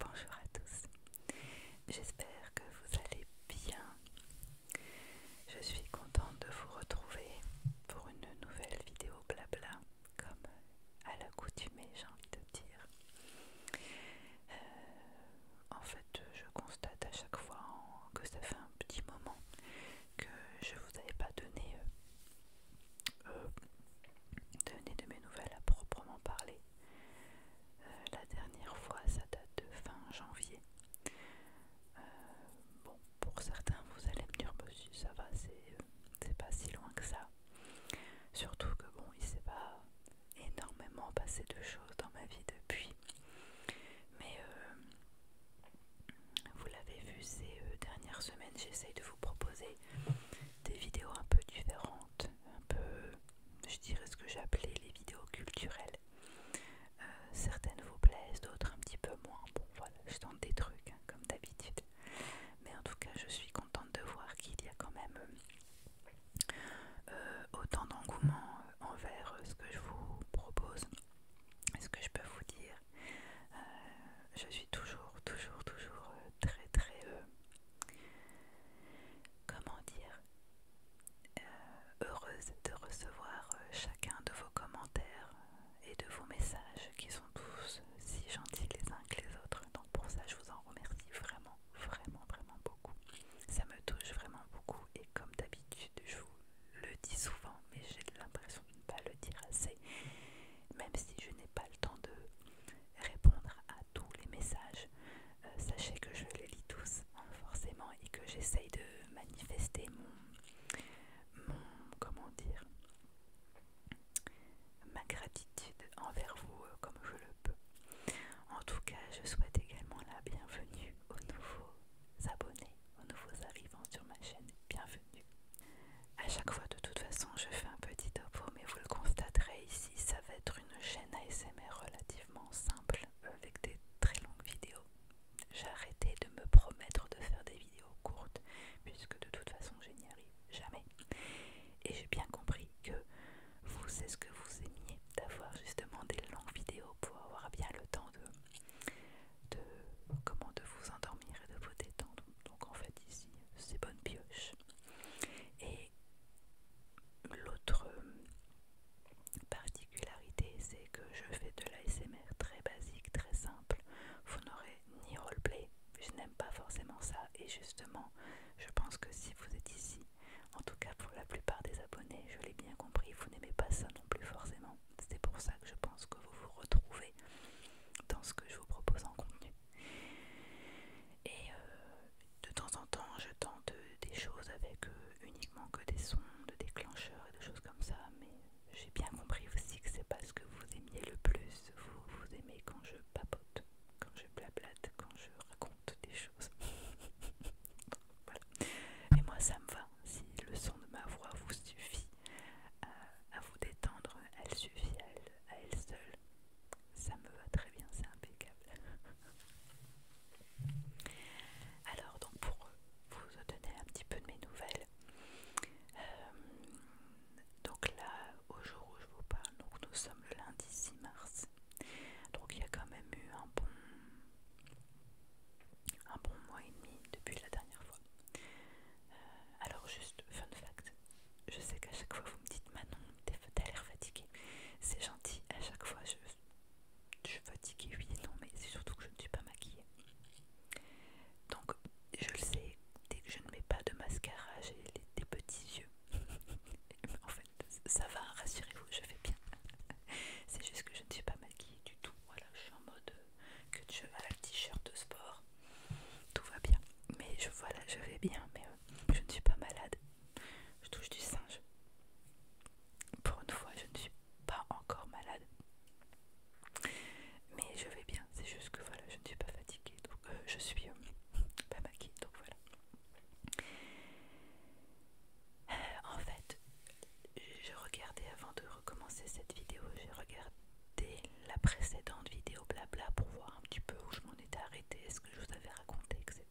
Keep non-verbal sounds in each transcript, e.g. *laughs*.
Bonjour à tous, j'espère que vous allez bien. Je suis contente de vous retrouver pour une nouvelle vidéo blabla, comme à l'accoutumée j'ai envie de dire. Euh, en fait, je constate à chaque fois que ça fait un petit moment que je vous avais pas donné, euh, euh, donné de mes nouvelles à proprement parler. Euh, la dernière fois, ça date de fin janvier. Euh, bon, pour certains, vous allez me dire, bah, ça va, c'est pas si loin que ça. Surtout que, bon, il s'est pas énormément passé de choses dans ma vie depuis. Mais euh, vous l'avez vu ces dernières semaines, j'essaye de vous proposer des vidéos un peu différentes, un peu je dirais ce que j'appelais les vidéos culturelles. Euh, certaines vous plaisent, d'autres un petit peu moins. Bon voilà, je tente des trucs hein, comme d'habitude. Mais en tout cas, je suis contente de voir qu'il y a quand même euh, autant d'engouement euh, envers ce que je vous propose. Ce que je peux vous dire, je suis toujours, toujours, toujours très, très comment dire, euh, heureuse de recevoir euh, chacun de vos commentaires et de vos messages qui sont tous si gentils les uns que les autres. Donc pour ça, je vous en remercie vraiment, vraiment, vraiment beaucoup. Ça me touche vraiment beaucoup et comme d'habitude, je vous le dis souvent, mais j'ai l'impression de ne pas le dire assez, même si je n'ai pas le temps de répondre à tous les messages. Euh, sachez que je les lis tous, hein, forcément, et que j'essaye de manifester mon, comment dire, ma gratitude envers vous euh, comme je le peux. En tout cas, je souhaite également la bienvenue aux nouveaux abonnés, aux nouveaux arrivants sur ma chaîne. Bienvenue. À chaque fois, de toute façon, je fais un petit topo, mais vous le constaterez ici, ça va être une chaîne ASMR relativement simple avec des très longues vidéos. J'ai arrêté de me promettre de faire des vidéos courtes puisque de toute façon je n'y arrive jamais. Et j'ai bien compris que vous, c'est ce que vous aimiez, d'avoir justement des longues vidéos pour avoir bien le temps de, de, comment, de vous endormir et de vous détendre. Donc en fait ici, c'est bonne pioche. Et l'autre euh, particularité, c'est que je fais de l'ASMR très basique, très simple. Vous n'aurez ni roleplay, je n'aime pas forcément ça. Et justement, je pense que si vous êtes ici, en tout cas pour la plupart des abonnés, je l'ai bien compris, vous n'aimez pas ça non plus forcément. C'est pour ça que je pense que vous vous retrouvez dans ce que je vous propose en contenu. Et euh, de temps en temps, je tente des choses avec euh, uniquement que des sons, de déclencheurs et des choses comme ça, mais j'ai bien compris aussi que c'est pas ce que vous aimiez le plus. Vous, vous aimez quand je papote, quand je blablate, quand je raconte des choses. *laughs* voilà. Et moi, ça me va. Si le son de ma voix vous suffit à, vous détendre, elle suffit à elle seule ça me va très bien, c'est impeccable. Alors, donc pour vous donner un petit peu de mes nouvelles, euh, donc là, au jour où je vous parle, donc nous sommes le lundi 6 mars, donc il y a quand même eu un bon, un bon mois et demi depuis la dernière fois. Euh, alors, juste fun fact, je sais qu'à chaque fois vous me dites Manon, t'as l'air fatigué. C'est gentil, à chaque fois je, je suis fatiguée, oui non, mais c'est surtout que je ne suis pas maquillée. Donc je le sais, dès que je ne mets pas de mascara, j'ai des petits yeux. *laughs* en fait, ça va, rassurez-vous, je vais bien. *laughs* c'est juste que je ne suis pas maquillée du tout. Voilà, je suis en mode euh, que de cheval, t-shirt de sport. Tout va bien. Mais je voilà, je vais bien, mais euh, je ne suis pas malade. Je touche du singe. Pour une fois, je ne suis pas encore malade. Mais je vais bien, c'est juste que voilà, je ne suis pas fatiguée, donc euh, je suis euh, pas maquillée, donc voilà. Euh, en fait, je regardais avant de recommencer cette vidéo, j'ai regardé la précédente vidéo blabla pour voir un petit peu où je m'en étais arrêtée, ce que je vous avais raconté, etc.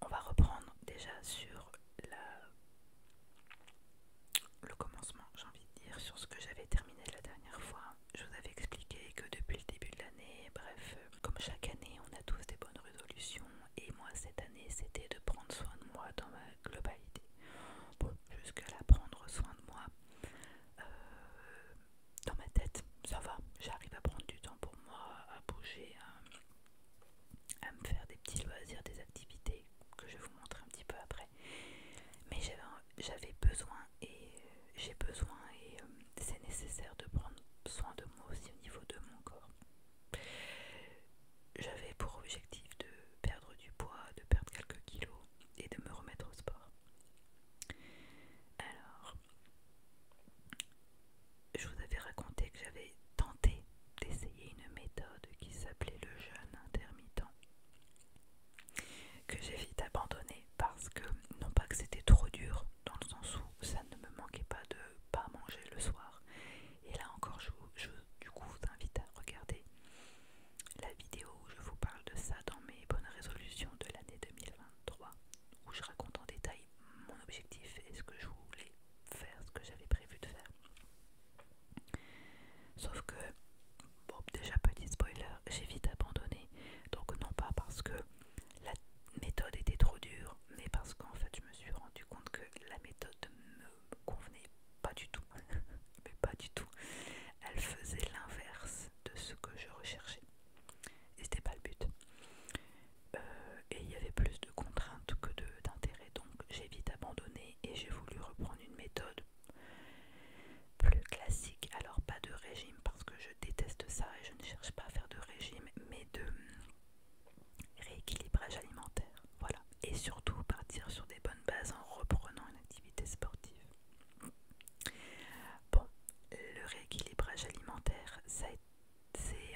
On va reprendre déjà sur le commencement, j'ai envie de dire, sur ce que j'avais terminé la dernière fois. Je vous avais expliqué que depuis le début de l'année, bref, comme chaque année, on a tous des bonnes résolutions. Et moi, cette année, c'était de prendre soin de moi dans ma globalité. Bon, jusqu'à la prendre soin de moi, euh, dans ma tête, ça va, j'arrive à prendre du temps pour moi, à bouger, à, me faire des petits loisirs, des activités que je vais vous montrer un petit peu après. Mais j'avais besoin et j'ai besoin et euh, c'est nécessaire de prendre soin de moi aussi au niveau de mon corps. J'avais pour objectif de perdre du poids, de perdre quelques kilos et de me remettre au sport. Alors, je vous avais raconté que j'avais tenté d'essayer une méthode qui s'appelait le jeûne intermittent, que j'ai vite abandonné parce que, non pas que c'était trop dur, dans le sens où ça ne me manquait pas de pas manger le soir. Et là encore, je, du coup vous invite à regarder la vidéo où je vous parle de ça dans mes bonnes résolutions de l'année 2020. 3 où je raconte en détail mon objectif et ce que je voulais faire, ce que j'avais prévu de faire. Sauf que, bon, déjà petit spoiler, j'ai vite abandonné. Donc non pas parce que la méthode était trop dure, mais parce qu'en fait je me suis rendu compte que la méthode ne me convenait pas du tout. *laughs* mais pas du tout. Elle faisait l'inverse de ce que je recherchais. Et c'était pas le but. Euh, et il y avait plus de contraintes que d'intérêt, donc j'ai vite abandonné et j'ai voulu reprendre une méthode plus classique. Alors pas de régime parce que je déteste ça et je ne cherche pas à faire de régime, mais de rééquilibrage alimentaire. Voilà. Et surtout partir sur des bonnes bases en reprenant une activité sportive. Bon, le rééquilibrage alimentaire, c'est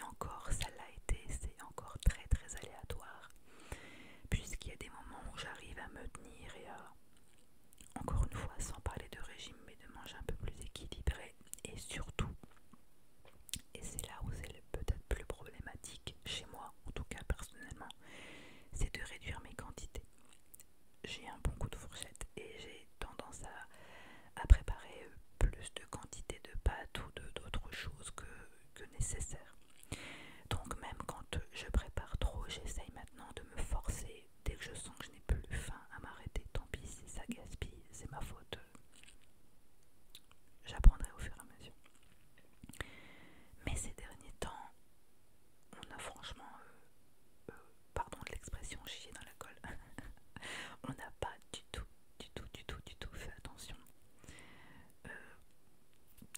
encore, ça l'a été, c'est encore très très aléatoire, puisqu'il y a des moments où j'arrive à me tenir et à, encore une fois, sans parler de régime, mais de manger un peu plus équilibré, et surtout, et c'est là où c'est peut-être plus problématique chez moi, en tout cas personnellement, c'est de réduire mes quantités j'ai un bon coup de fourchette et j'ai tendance à, préparer euh, plus de quantité de pâtes ou d'autres choses que, nécessaire. Donc même quand je prépare trop, j'essaye maintenant de me forcer. Dès que je sens que je n'ai plus faim à m'arrêter, tant pis si ça gaspille, c'est ma faute. J'apprendrai au fur et à mesure. Mais ces derniers temps, on a franchement euh, euh, pardon de l'expression chier dans la colle. *laughs* On n'a pas du tout, du tout, du tout, du tout fait attention. Euh,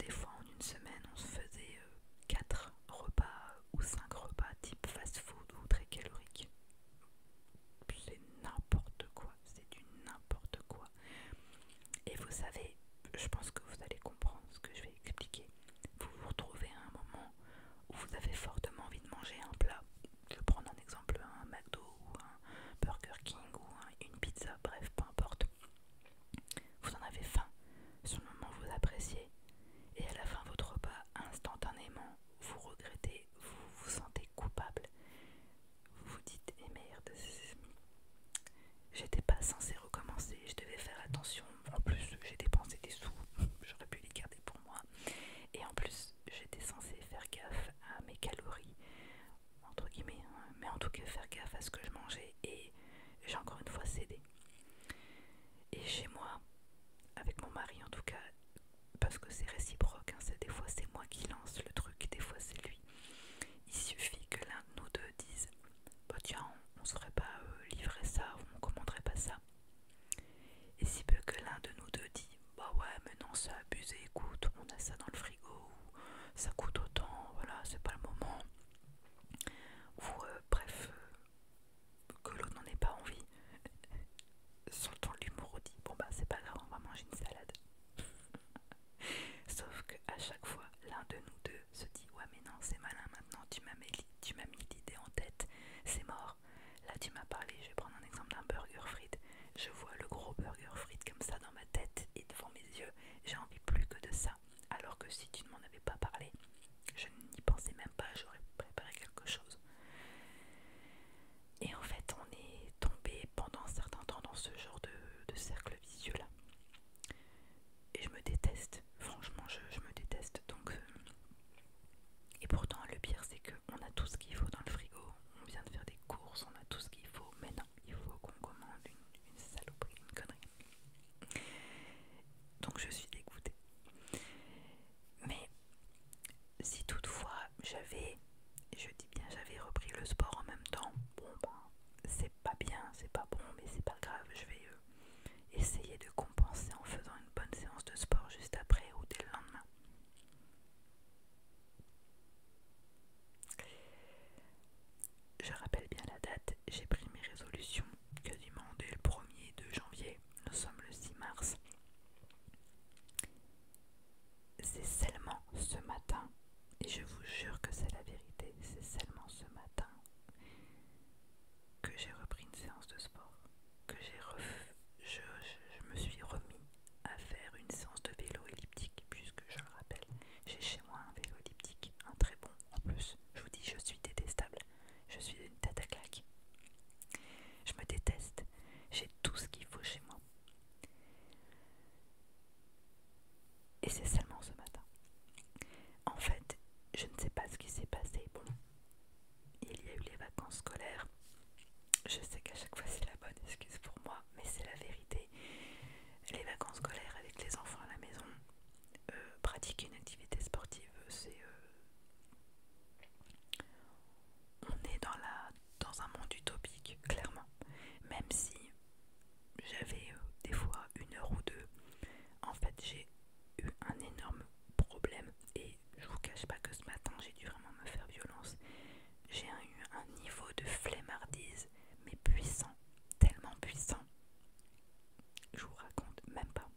des fois en une semaine, on se faisait 4 euh, repas euh, ou 5 repas type fast-food ou très calorique. C'est n'importe quoi, c'est du n'importe quoi. Et vous savez, je pense que vous allez comprendre ce que je vais expliquer. Vous vous retrouvez à un moment où vous avez fortement envie de manger un plat, je vais prendre un exemple, un McDo ou un Burger King ou une pizza, bref, peu importe, vous en avez faim, sur le moment vous appréciez, et à la fin votre repas, instantanément, vous regrettez, vous vous sentez coupable, vous vous dites, eh merde, j'étais pas censée recommencer, je devais faire attention, en plus j'ai dépensé des sous, *laughs* j'aurais pu les garder pour moi, et en plus, j'étais censée faire gaffe à mes calories, entre guillemets, hein, mais en tout cas faire gaffe à ce que je mangeais et j'ai encore une fois cédé. Et chez moi, avec mon mari en tout cas, parce que c'est réciproque, hein, c'est des fois c'est moi qui lance le truc, des fois c'est lui. Il suffit que l'un de nous deux dise bah tiens, on ne saurait pas euh, livrer ça, on ne commanderait pas ça. Et si peu que l'un de nous deux dit Bah ouais, mais non, c'est abusé, écoute, on a ça dans le frigo, ça coûte autant, voilà, c'est pas le moment. Ou euh, bref, euh, que l'autre n'en ait pas envie. Sans *laughs* le l'humour, on dit Bon bah c'est pas grave, on va manger une salade. *laughs* Sauf qu'à chaque fois, l'un de nous deux se dit Ouais, mais non, c'est malin maintenant, tu m'as mis l'idée en tête, c'est mort. Là, tu m'as parlé, je vais prendre un exemple d'un burger frit. Je vois le gros burger frit comme ça dans ma tête et devant mes yeux, j'ai envie plus que de ça. Alors que si tu ne m'en avais pas parlé, je n'y pensais même pas, j'aurais préparé quelque chose. Et en fait, on est tombé pendant un certain temps dans ce genre de, cercle vicieux là. Et je me déteste, franchement, je, me déteste. Donc, euh, et pourtant, le pire, c'est que on a tout ce qu'il faut dans le frigo. On vient de faire des courses, on a tout ce qu'il faut. Mais non, il faut qu'on commande une, saloperie, une connerie. Donc je suis dégoûtée. Mais si toutefois j'avais, je dis bien j'avais repris le sport en même temps, bon ben c'est pas bien, c'est pas bon, mais c'est pas grave, je vais euh, essayer de penser en faisant une bonne séance de sport juste après ou dès le lendemain. Je rappelle bien la date, j'ai pris mes résolutions quasiment dès le 1er de janvier, nous sommes le 6 mars. C'est seulement ce matin, et je vous jure que c'est la vérité, c'est seulement ce matin que j'ai repris une séance de sport que je, je, je me suis remis à faire une séance de vélo elliptique, puisque je le rappelle, j'ai chez moi un vélo elliptique, un très bon en plus. Je vous dis, je suis détestable, je suis une tête à claque. Je me déteste, j'ai tout ce qu'il faut chez moi. Et c'est seulement ce matin. En fait, je ne sais pas ce qui s'est passé. Bon, il y a eu les vacances scolaires. Je sais qu'à chaque fois c'est la bonne excuse pour moi, mais c'est la vérité. Les vacances scolaires avec les enfants à la maison, euh, pratiquer une activité sportive, c'est... Euh, on est dans, la, dans un monde utopique, clairement. Même si j'avais euh, des fois une heure ou deux, en fait j'ai eu un énorme problème et je vous cache pas que ce matin, j'ai dû vraiment me faire violence. J'ai eu un niveau de flemmardise, mais puissant, tellement puissant. Je vous raconte même pas.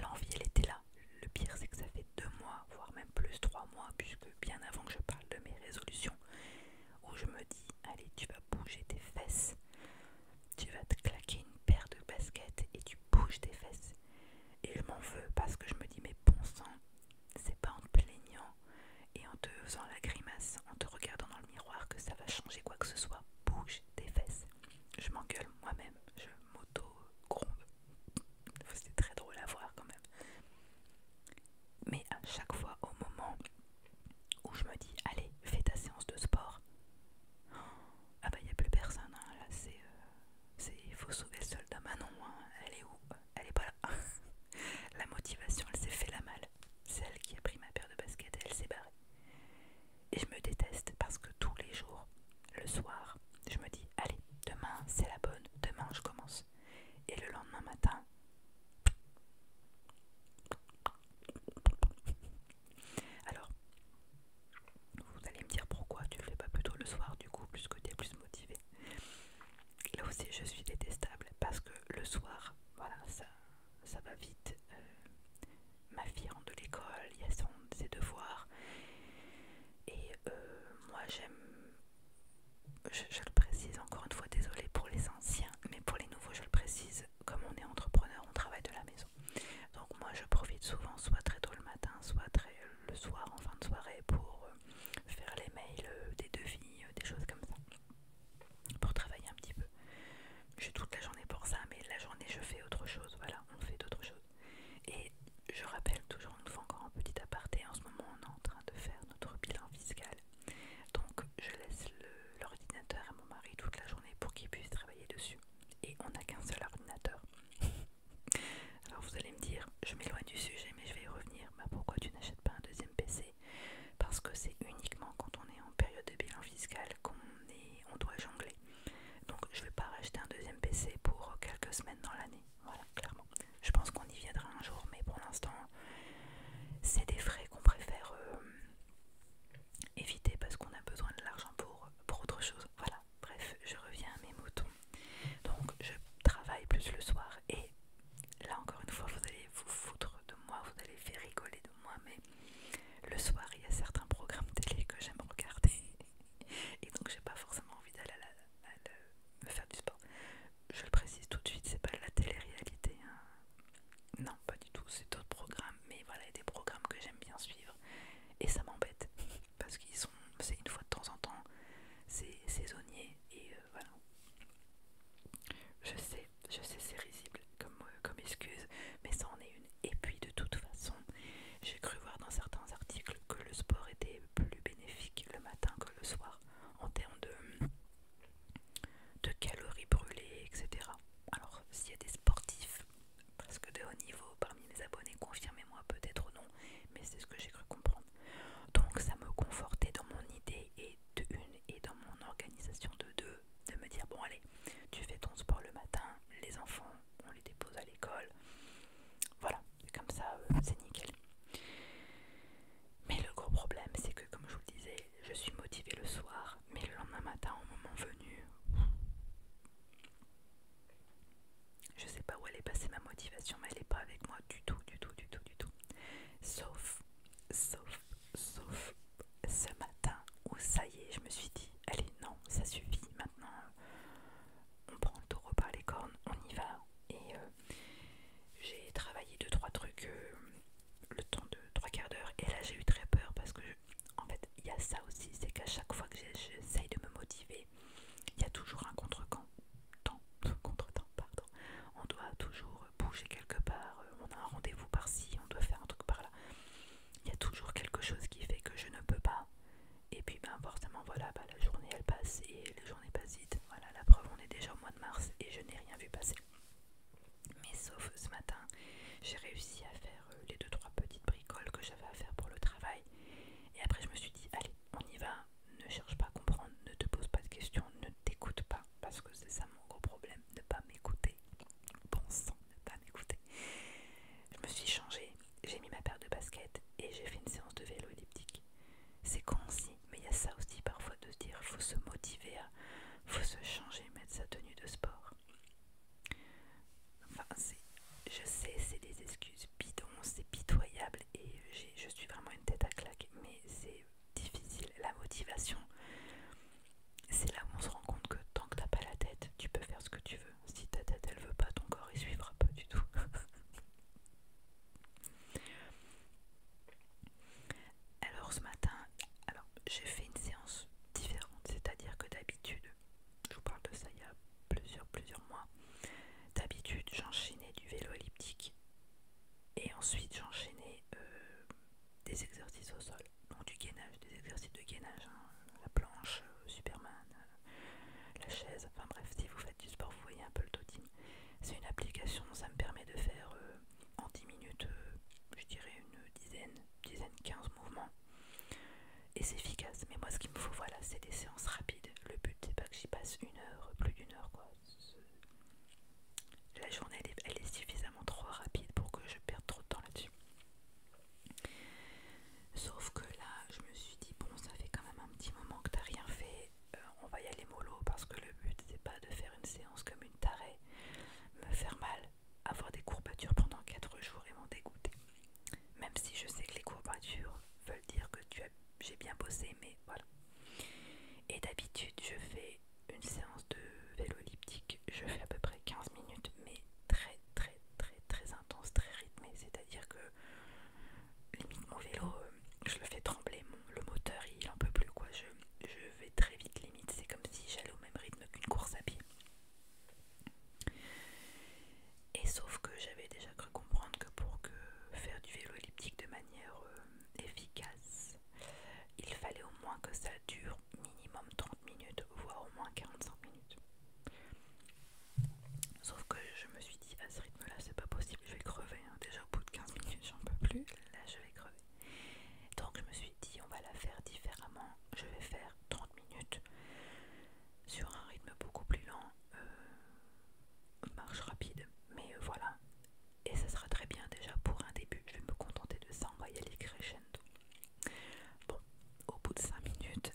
L'envie, elle était là. Le pire, c'est que ça fait deux mois, voire même plus trois mois, puisque bien avant que je parle de mes résolutions, où je me dis, allez, tu vas bouger tes fesses, tu vas te claquer une paire de baskets et tu bouges tes fesses. Et je m'en veux parce que je me dis mais bon sang, c'est pas en te plaignant et en te faisant la grimace, en te regardant dans le miroir que ça va changer quoi que ce soit. Bouge tes fesses. Je m'engueule moi-même, je m'auto-gronde. C'est très drôle à voir quand même. Mais à chaque fois au moment où je me dis allez, fais ta séance de sport. Ah bah il y a plus personne, hein, là c'est euh, il faut sauver le soldat Manon, hein. elle est où Elle est pas là. *laughs* la motivation, elle s'est fait la malle. C'est elle qui a pris ma paire de baskets elle s'est barrée. Et je me déteste parce que tous les jours, le soir, je me dis allez, demain c'est la bonne, demain je commence. Et le lendemain matin, alors, vous allez me dire pourquoi tu le fais pas plutôt le soir du coup, puisque tu es plus motivé. Là aussi, je suis détestable parce que le soir, voilà, ça, va vite. Euh, ma fille rentre de l'école, il y a son, ses devoirs. Et euh, moi, j'aime. Je, je le précise encore une fois, désolé pour les anciens, mais pour les nouveaux, je le précise, comme on est entrepreneur, on travaille de la maison. Donc moi je profite souvent soit très tôt le matin, soit très euh, le soir en fin de soirée pour euh, faire les mails, euh, des devis, des choses comme ça. Pour travailler un petit peu. J'ai toute la journée pour ça, mais la journée je fais autre chose. Voilà, on fait d'autres choses. Et je rappelle toujours, on nous fait encore un petit aparté. En ce moment, on est en train de faire notre bilan fiscal. Donc, je laisse l'ordinateur à mon mari toute la journée pour qu'il puisse travailler dessus. Et on n'a qu'un seul ordinateur. *laughs* Alors vous allez me dire, je m'éloigne du sujet mais je vais y revenir. Bah, pourquoi tu n'achètes pas un deuxième PC Parce que c'est uniquement quand on est en période de bilan fiscal qu'on on doit jongler. Donc je ne vais pas racheter un deuxième PC pour quelques semaines dans l'année. Voilà, clairement. Je pense qu'on y viendra un jour mais pour l'instant c'est des frais qu'on préfère euh, éviter parce qu'on a besoin de l'argent pour, pour autre chose. Voilà, Bref, je reviens à mes moutons. Donc, je travaille plus le soir et là encore une fois, vous allez vous foutre de moi, vous allez faire rigoler de moi, mais le soir, il y a certains programmes télé que j'aime regarder et donc j'ai pas forcément envie d'aller me faire du sport. Je le précise tout de suite, c'est pas la télé-réalité. Hein. Non, pas du tout, c'est d'autres programmes, mais voilà, il y a des programmes que j'aime bien suivre et ça m'embête parce qu'ils sont c'est une fois de temps en temps c'est saisonnier et euh, voilà je sais je sais c'est risible comme, euh, comme excuse mais ça en est une et puis de toute façon j'ai cru voir dans certains articles que le sport était plus bénéfique le matin que le soir en termes de de calories brûlées etc alors s'il y a des sportifs presque de haut niveau parmi mes abonnés, confirmez-moi peut-être ou non, mais c'est ce que j'ai cru comprendre. Donc ça me confortait dans mon idée et de une et dans mon organisation de deux, de me dire bon allez, tu fais ton sport le matin, les enfants, on les dépose à l'école, voilà, comme ça euh, c'est nickel. Mais le gros problème c'est que comme je vous le disais, je suis motivée le soir, mais le lendemain matin au moment venu je sais pas où elle est passée ma motivation, mais elle n'est pas avec moi du tout, du tout, du tout, du tout. Sauf, sauf, sauf ce matin où ça y est, je me suis dit, allez, non, ça suffit, maintenant on prend le taureau par les cornes, on y va. Et euh, j'ai travaillé 2 trois trucs euh, le temps de trois quarts d'heure, et là j'ai eu très peur parce que, en fait, il y a ça aussi, c'est qu'à chaque fois que j'essaye de me motiver, il y a toujours un contre-temps. On doit toujours bouger quelque part. Euh, on a un rendez-vous par-ci, on doit faire un truc par-là. Il y a toujours quelque chose qui fait que je ne peux pas. Et puis, ben, forcément, voilà, bah, la journée elle passe et les journées passent vite. Voilà, la preuve, on est déjà au mois de mars et je n'ai rien vu passer. Mais sauf ce matin, j'ai réussi à faire euh, les deux trois petites bricoles que j'avais à faire pour le travail. Et après, je me suis dit, allez, on y va, ne cherche pas à comprendre, ne te pose pas de questions, ne t'écoute pas, parce que c'est ça mon gros problème, ne pas m'écouter. Bon ne pas m'écouter. Je me suis changée, j'ai mis ma paire de baskets et j'ai fait une séance de vélo elliptique. C'est con aussi, mais il y a ça aussi parfois de se dire, faut se motiver à, faut se changer, mettre sa tenue de sport. Enfin, je sais, c'est des excuses bidons, c'est pitoyable et je suis vraiment une tête à claque, mais c'est difficile. La motivation, c'est là où on se rend compte que tant que t'as pas la tête, tu peux faire ce que tu veux. Si ta tête elle veut pas, ton corps il suivra pas du tout. *laughs* alors ce matin, alors j'ai fait une séance différente, c'est-à-dire que d'habitude je vous parle de ça il y a plusieurs, plusieurs mois. D'habitude, j'enchaînais du vélo elliptique et ensuite j'enchaînais euh, des exercices au sol, donc du gainage, des exercices de gainage, hein. la planche, euh, Superman, euh, la chaise, enfin bref, si vous faites du sport, vous voyez un peu le totem. C'est une application, ça me permet de faire en 10 minutes, je dirais une dizaine, dizaine, 15 mouvements et c'est efficace. Mais moi, ce qu'il me faut, voilà, c'est des séances rapides. Le but, c'est pas que j'y passe une heure, plus d'une heure, quoi. La journée, elle est, suffisamment trop rapide pour que je perde trop de temps là-dessus. Sauf que là, je me suis dit, bon, ça fait quand même un petit moment que t'as rien fait. Euh, on va y aller mollo parce que le but, c'est pas de faire une séance comme une tarée, me faire mal, avoir des courbatures pendant 4 jours et m'en dégoûter. Même si je sais que les courbatures veulent dire que j'ai bien bossé, mais voilà. Et d'habitude, je fais une séance de vélo elliptique. Je fais à peu près 15 minutes, mais très, très, très, très intense, très rythmée. C'est-à-dire que limite mon vélo, euh, je le fais trembler. le moteur, il en peut plus, quoi. je vais très vite, limite. C'est comme si j'allais au même rythme qu'une course à pied. Et sauf que j'avais déjà cru comprendre que pour que faire du vélo elliptique de manière euh, efficace, il fallait au moins que ça dure minimum 30 minutes, voire au moins 45 minutes. Sauf que je me suis dit à ce rythme là c'est pas possible, je vais crever. Hein. Déjà au bout de 15 minutes j'en peux plus, là je vais crever. Donc je me suis dit on va la faire différemment, je vais faire 30 minutes sur un rythme beaucoup plus lent, euh, marche rapide, mais euh, voilà, et ça sera très bien déjà pour un début, je vais me contenter de ça, en voyant crescendo. Bon, au bout de 5 minutes,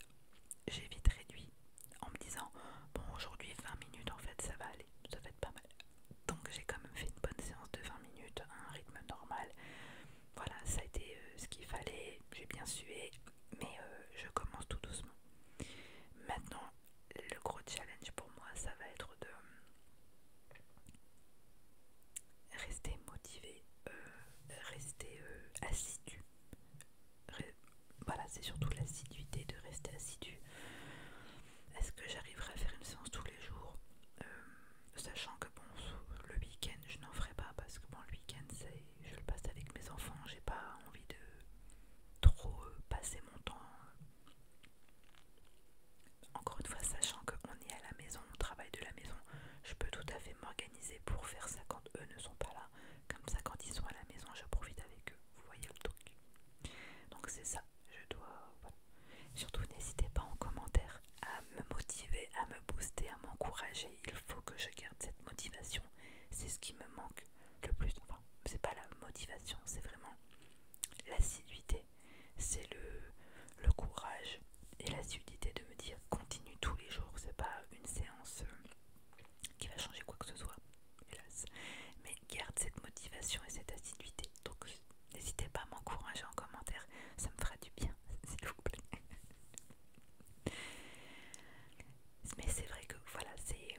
j'ai vite réduit en me disant, bon aujourd'hui 20 minutes en fait ça va aller, ça va être pas mal. Donc j'ai quand même fait une bonne séance de 20 minutes à un rythme normal. Voilà, ça a été euh, ce qu'il fallait, j'ai bien sué, mais euh, je commence tout doucement. Maintenant, le gros challenge pour moi, ça va être de euh, rester motivé, euh, rester assidu. voilà, c'est surtout l'assiduité de rester assidu. Est-ce que j'arriverai à faire une séance tous les jours Sachant que bon, le week-end, je n'en ferai pas parce que bon, le week-end, c'est je le passe avec mes enfants. J'ai pas envie de trop euh, passer mon temps. Euh, encore une fois, sachant qu'on est à la maison, on travaille de la maison, je peux tout à fait m'organiser pour faire ça quand eux ne sont pas là. Comme ça, quand ils sont à la maison, je profite avec eux. Vous voyez le truc. Donc c'est ça. Je dois. Voilà. Surtout, n'hésitez pas en commentaire à me motiver, à me booster, à m'encourager. Il faut que je garde cette motivation c'est ce qui me manque le plus. Enfin, c'est pas la motivation, c'est vraiment l'assiduité. C'est le, le courage et l'assiduité de me dire continue tous les jours. C'est pas une séance euh, qui va changer quoi que ce soit, hélas. Mais garde cette motivation et cette assiduité. Donc n'hésitez pas à m'encourager en commentaire, ça me fera du bien, *laughs* s'il vous plaît mais c'est vrai que voilà, c'est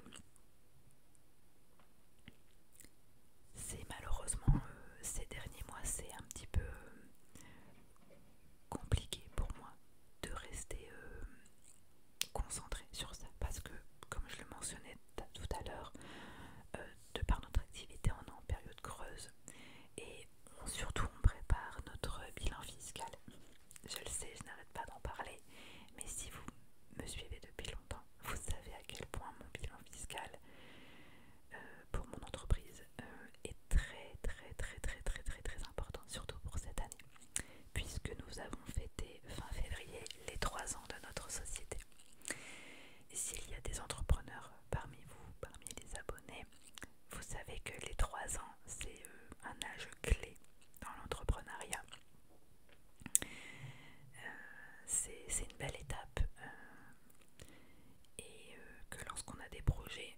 c'est malheureusement euh, ces derniers mois, c'est un petit peu compliqué pour moi de rester euh, concentré sur ça parce que, comme je le mentionnais tout à l'heure, euh, de par notre activité, on est en période creuse et surtout on prépare notre bilan fiscal. Je le sais, je n'arrête pas d'en parler, mais si vous me suivez depuis longtemps, vous savez à quel point mon bilan fiscal euh, pour mon entreprise euh, est très très très très très très très important, surtout pour cette année, puisque nous avons fêté fin février les 3 ans de notre société. S'il y a des entrepreneurs parmi vous, parmi les abonnés, vous savez que les 3 ans, c'est euh, un âge clé dans l'entrepreneuriat. Euh, c'est une belle étape euh, et euh, que lorsqu'on a des projets,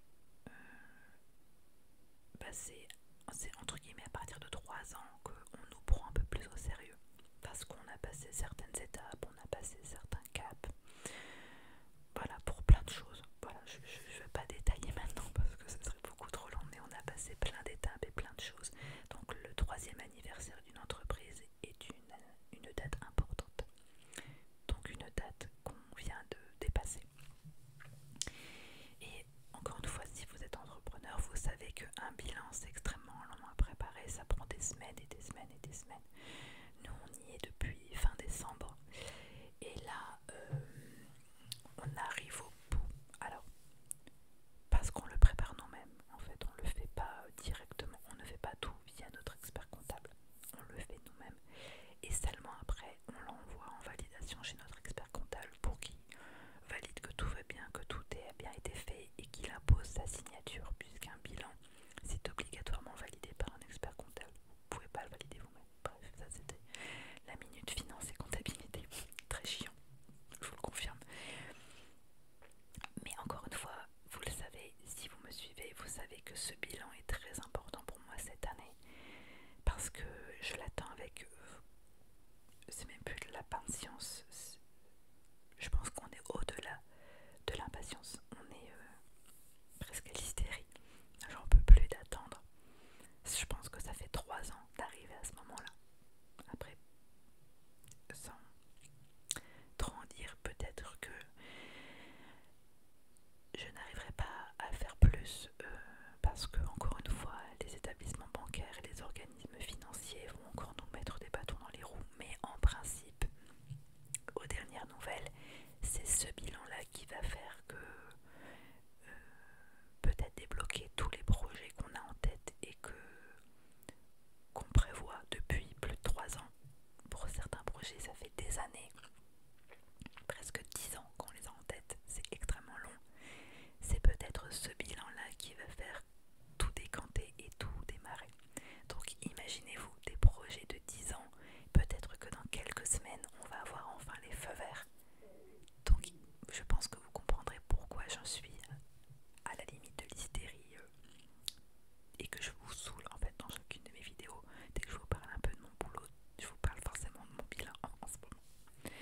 bah, c'est entre guillemets à partir de trois ans qu'on nous prend un peu plus au sérieux parce qu'on a passé certaines étapes, on a passé certains caps, voilà pour plein de choses je ne vais pas détailler maintenant parce que ce serait beaucoup trop long, mais on a passé plein d'étapes et plein de choses. Donc le troisième anniversaire d'une entreprise est une, une date importante. Donc une date qu'on vient de dépasser. Et encore une fois, si vous êtes entrepreneur, vous savez qu'un bilan c'est extrêmement long à préparer, ça prend des semaines et des semaines et des semaines. Nous on y est depuis fin décembre et là, euh, on arrive au bout. Alors, parce qu'on le prépare nous-mêmes, en fait, on ne le fait pas directement, on ne fait pas tout via notre expert comptable, on le fait nous-mêmes. Et seulement après, on l'envoie en validation chez notre expert comptable pour qu'il valide que tout va bien, que tout a bien été fait et qu'il impose sa signature, puisqu'un bilan, c'est obligatoirement validé par un expert comptable. Vous ne pouvez pas le valider vous-même. Bref, ça c'était la minute finance et comptabilité. Très chiant, je vous le confirme. Mais encore une fois, vous le savez, si vous me suivez, vous savez que ce bilan est très important pour moi cette année. Parce que je l'attends avec... Euh, c'est même plus de la patience. Je pense qu'on est au-delà de l'impatience. On est euh, presque à l'hystérie. J'en peux plus d'attendre. Je pense que ça fait trois ans d'arriver à ce moment-là. Après, sans trop en dire, peut-être que je n'arriverai pas à faire plus euh, parce que, encore une fois, les établissements bancaires et les organismes financiers vont encore nous mettre des bâtons dans les roues. Mais en principe, aux dernières nouvelles, c'est ce bilan-là qui va faire que peut-être débloquer tous les projets qu'on a en tête et que qu'on prévoit depuis plus de 3 ans. Pour certains projets, ça fait des années, presque 10 ans qu'on les a en tête, c'est extrêmement long. C'est peut-être ce bilan-là qui va faire tout décanter et tout démarrer. Donc imaginez-vous des projets de 10 ans, peut-être que dans quelques semaines, on va avoir enfin les feux verts donc je pense que vous comprendrez pourquoi j'en suis à la limite de l'hystérie euh, et que je vous saoule en fait dans chacune de mes vidéos. Dès que je vous parle un peu de mon boulot, je vous parle forcément de mon bilan en, ce moment.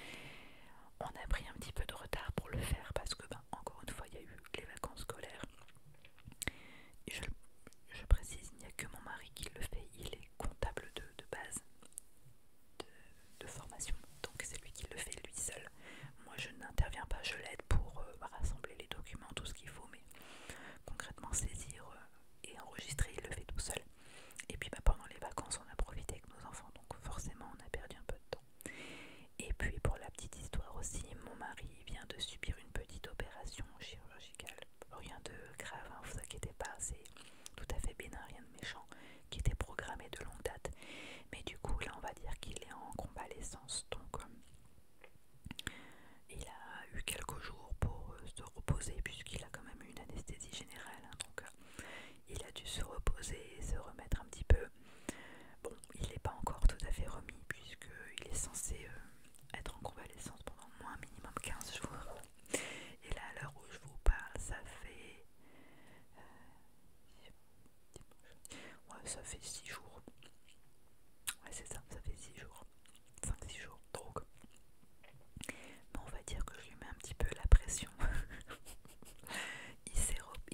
On a pris un petit peu de retard pour le faire parce que, ben, encore une fois, il y a eu les vacances scolaires. je, précise, il n'y a que mon mari qui le fait, il est comptable de base de, formation. Donc c'est lui qui le fait lui seul. Moi je n'interviens pas, je l'aide pour euh, rassembler les documents, tout ce qu'il faut, mais concrètement saisir euh, et enregistrer, il le fait tout seul. Et puis bah, pendant les vacances, on a profité avec nos enfants, donc forcément on a perdu un peu de temps. Et puis pour la petite histoire aussi, mon mari vient de subir une petite opération chirurgicale. Rien de grave, ne hein, vous inquiétez pas, c'est tout à fait bénin, rien de méchant qui était programmé de longue date. Mais du coup, là, on va dire qu'il est en convalescence. Donc, euh, il a eu quelques jours pour euh, se reposer, puisqu'il a quand même eu une anesthésie générale. Hein, donc, euh, il a dû se reposer se remettre un petit peu. Bon, il n'est pas encore tout à fait remis, puisque il est censé être en convalescence pendant au moins minimum 15 jours. Et là, à l'heure où je vous parle, ça fait. Euh, ça fait 6 jours. Ouais, c'est ça, ça fait 6 jours. 5-6 jours. Donc, bon, on va dire que je lui mets un petit peu la pression. *laughs* il,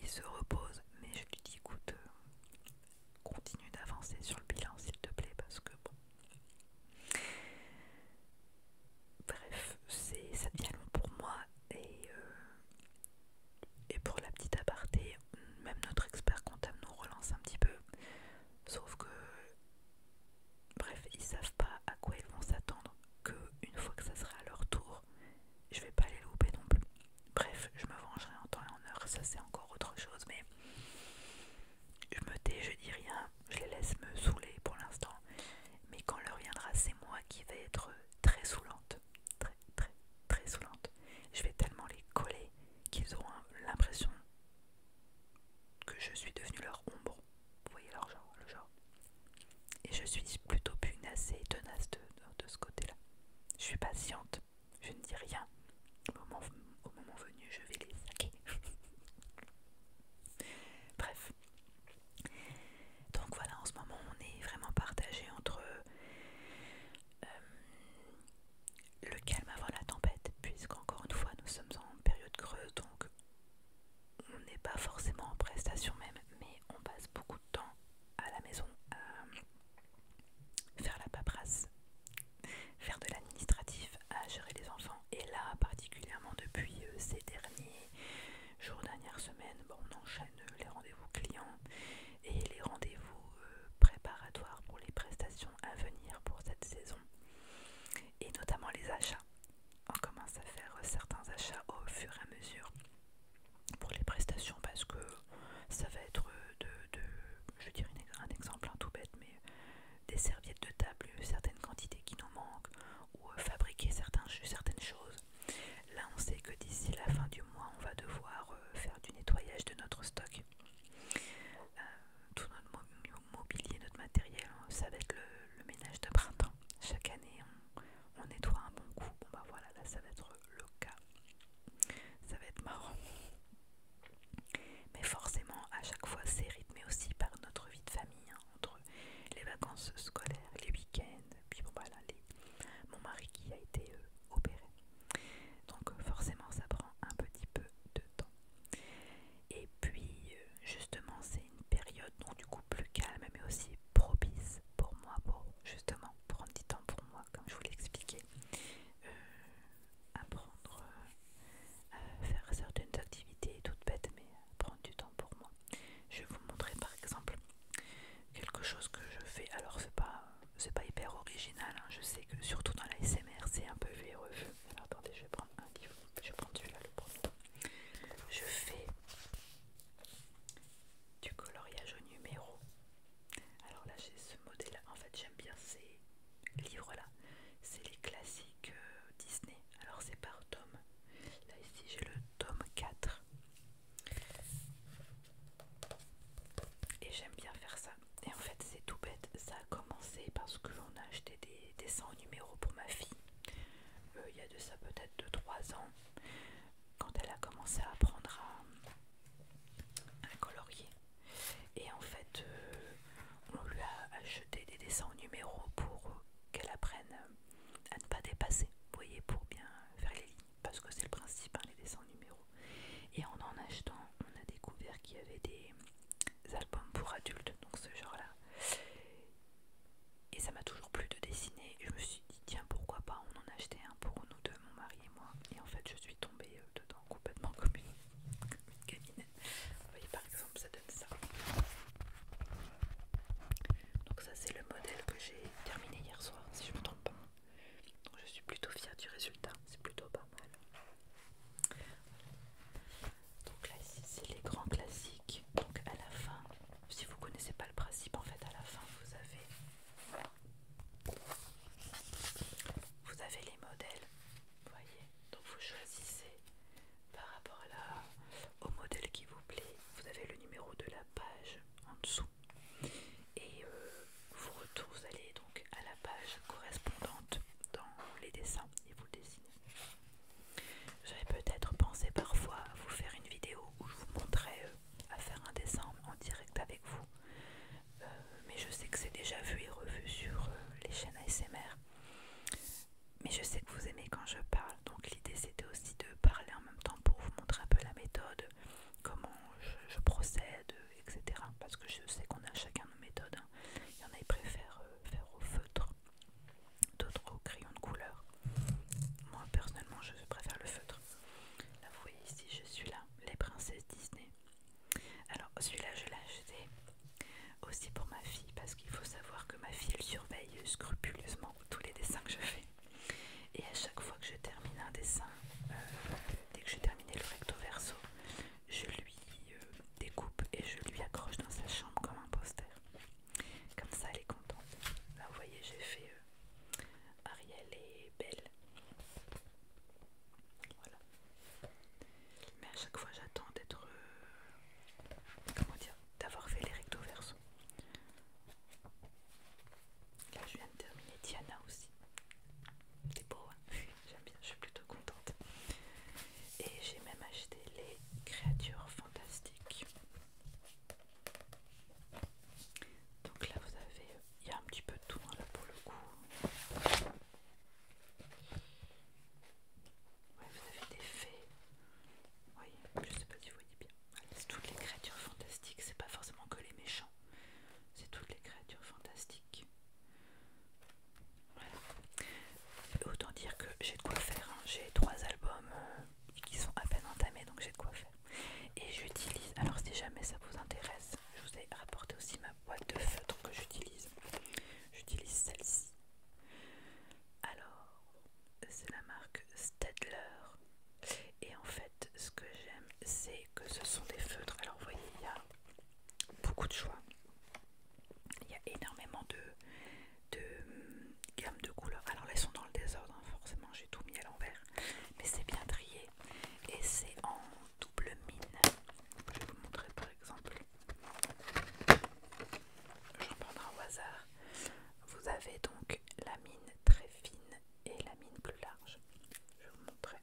se repose, mais je lui dis écoute, euh, continue d'avancer sur le bilan s'il te plaît, parce que bon. Bref, ça devient long pour moi euh, et, pour la petite aparté, même notre expert comptable nous relance un petit peu. Sauf que, bref, ils savent pas à quoi ils vont s'attendre, Que une fois que ça sera à leur tour, je vais pas les louper non plus. Bref, je me vengerai en temps et en heure, ça c'est encore autre chose, mais je me tais, je dis rien, je les laisse me saouler pour l'instant. Mais quand leur viendra, c'est moi qui vais être très saoulante. Très, très, très saoulante. Je vais tellement les coller qu'ils auront l'impression que je suis devenue leur ombre. Vous voyez leur genre, le genre. Et je suis plutôt punacée et tenace de, ce côté-là. Je suis patiente, je ne dis rien. Au moment, au moment venu, je vais les saquer. *laughs* Bref. Donc voilà, en ce moment, on est vraiment partagé entre euh, le calme avant la tempête, puisqu'encore une fois, nous sommes en période creuse, donc on n'est pas forcément en prestation même, mais on passe beaucoup de temps à la maison à euh, faire la paperasse, faire de l'administratif, à gérer les enfants. Et là, particulièrement depuis euh, ces derniers Jour dernière semaine on enchaîne euh, les rendez-vous clients et les rendez-vous euh, préparatoires pour les prestations à venir pour cette saison et notamment les achats. On commence à faire euh, certains achats au fur et à mesure pour les prestations parce que ça va être de, de je dirais un exemple hein, tout bête, mais des serviettes de table, certaines quantités qui nous manquent, ou euh, fabriquer certains jus, certaines choses. Là, on sait que d'ici la fin du mois, on va devoir euh, faire du nettoyage de notre stock. Euh, tout notre mobilier, notre matériel, hein, ça va être le, ménage de printemps. Chaque année, on, nettoie un bon coup. Bon, bah voilà, là, ça va être le cas. Ça va être marrant. Mais forcément, à chaque fois, c'est rythmé aussi par notre vie de famille. Hein entre les vacances scolaires, les week-ends, puis voilà, bah, mon mari qui a été euh, opéré. Donc euh, forcément ça prend un petit peu de temps. Et puis euh, justement c'est une période donc du coup plus calme mais aussi propice pour moi pour justement prendre du temps pour moi comme je vous l'expliquais. expliqué apprendre à faire certaines activités toutes bêtes mais prendre du temps pour moi. Je vais vous montrer par exemple quelque chose que je fais. Alors c'est pas c'est pas hyper original. Hein. Je sais que surtout dans la SMR c'est un peu vu et Alors attendez, je vais prendre un livre. Je vais prendre celui-là le premier. Je fais du coloriage au numéro. Alors là j'ai ce modèle là. En fait j'aime bien ces livres là. C'est les classiques euh, Disney. Alors c'est par tome. Là ici j'ai le tome 4. Et j'aime bien faire ça. Et en fait c'est tout bête. Ça a commencé parce que j'en ai acheté des dessins en numéro pour ma fille. Euh, il y a de ça peut-être 2-3 ans. Quand elle a commencé à apprendre à, colorier. Et en fait... Euh, on lui a acheté des dessins en numéro pour qu'elle apprenne à ne pas dépasser, vous voyez, pour bien faire les lignes, parce que c'est le principe, hein, les dessins numéros. Et en en achetant, on a découvert qu'il y avait des albums pour adultes, donc ce genre-là. Et ça m'a toujours plu de dessiner, je me suis dit, tiens, pourquoi pas, on en achetait un pour nous deux, mon mari et moi. Et en fait, je suis tombée euh, dedans complètement comme une, *laughs* exemple ça donne ça donc ça c'est le modèle que j'ai terminé hier soir si je me trompe pas donc je suis plutôt fière du résultat c'est plutôt pas mal donc là ici c'est les grands classiques donc à la fin si vous connaissez pas le principe en fait à la fin vous avez vous avez les modèles vous voyez donc vous choisissez par rapport à au modèle qui vous plaît. Vous avez le numéro de la page en dessous et euh, vous, allez donc à la page correspondante dans les dessins et vous dessinez. J'avais peut-être pensé parfois à vous faire une vidéo où je vous montrais euh, à faire un dessin en direct avec vous, euh, mais je sais que c'est déjà vu et revu sur les chaînes ASMR. Mais je sais que vous aimez quand je parle, donc l'idée c'était aussi de parler en même temps pour vous montrer un peu la méthode, comment je, procède, etc. Parce que je sais qu'on a chacun nos méthodes. Hein. Il y en a qui préfèrent euh, faire au feutre, d'autres au crayon de couleur. Moi personnellement, je préfère le feutre. Là, vous voyez ici, je suis là, les princesses Disney. Alors, celui-là, je l'ai acheté aussi pour ma fille parce qu'il faut savoir que ma fille le surveille scrupuleusement tous les dessins que je fais. Et à chaque fois que je termine un dessin, euh, dès que j'ai terminé le recto verso, je lui euh, découpe et je lui accroche dans sa chambre comme un poster. Comme ça, elle est contente. Là, vous voyez, j'ai fait euh, Ariel et Belle. Voilà. Mais à chaque fois, j'attends d'être. comment dire d'avoir fait les recto verso. Là, je viens de terminer Diana aussi. C'est beau, hein. j'aime bien, je suis plutôt contente. Et j'ai même acheté les créatures fantastiques. Donc là, vous avez, il y a un petit peu de tout hein, là pour le coup. Ouais, vous avez des fées. Oui, je sais pas si vous voyez bien. C'est toutes les créatures fantastiques, c'est pas forcément que les méchants. C'est toutes les créatures fantastiques. Autant dire que j'ai de quoi faire. Hein. J'ai trois albums euh, qui sont à peine entamés, donc j'ai de quoi faire. Et j'utilise, alors si jamais ça vous intéresse, je vous ai rapporté aussi ma boîte de feutre que j'utilise. J'utilise celle-ci. Alors, c'est la marque Stedler et en fait ce que j'aime c'est que ce sont des feutres alors vous voyez il y a beaucoup de choix il y a énormément de, de hum, gamme de couleurs alors là elles sont dans le désordre hein, forcément j'ai tout mis à l'envers mais c'est bien trié et c'est en double mine je vais vous montrer par exemple j'en prendrai au hasard vous avez donc la mine très fine et la mine plus large. Je vais vous montrer.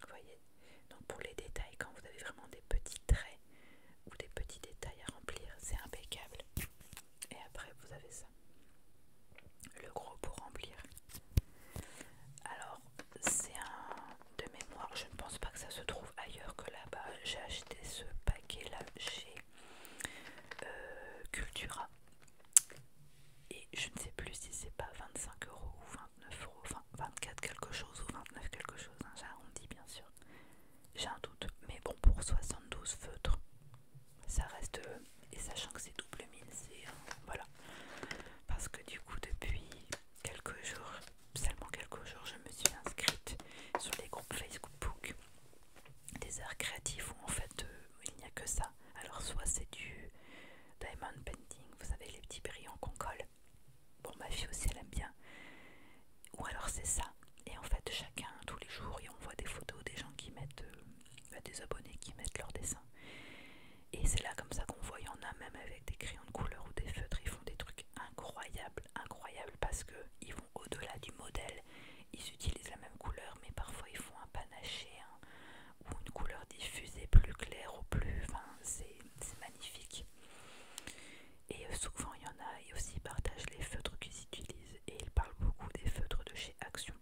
Vous voyez Donc pour les détails, quand vous avez vraiment des petits traits ou des petits détails à remplir, c'est impeccable. Et après, vous avez ça. Le gros pour remplir. Alors, c'est un de mémoire. Je ne pense pas que ça se trouve ailleurs que là-bas. J'ai acheté ce paquet-là chez euh, Cultura. Et je ne sais plus si c'est pas 25 euros ou 29 euros, enfin 24 quelque chose ou 29 quelque chose, hein, j'arrondis bien sûr. J'ai un doute, mais bon, pour 72 feutres, ça reste. Euh, et sachant que c'est double mine, c'est. Euh, voilà. Parce que du coup, depuis quelques jours, seulement quelques jours, je me suis inscrite sur les groupes Facebook des arts créatifs où en fait euh, il n'y a que ça. Alors soit c'est du diamond painting, vous savez les petits brillants qu'on colle. Bon ma fille aussi elle aime bien. Ou alors c'est ça. Et en fait chacun tous les jours on voit des photos des gens qui mettent euh, bah, des abonnés qui mettent leurs dessins. Et c'est là comme ça qu'on voit, il y en a même avec des crayons de couleur ou des feutres, ils font des trucs incroyables, incroyables parce que qu'ils vont au-delà du modèle ils utilisent la même couleur, mais parfois ils font un panaché hein, ou une couleur diffusée plus claire ou plus. Enfin, c'est magnifique. Et euh, souvent, il y en a, ils aussi partagent les feutres qu'ils utilisent. Et ils parlent beaucoup des feutres de chez Action.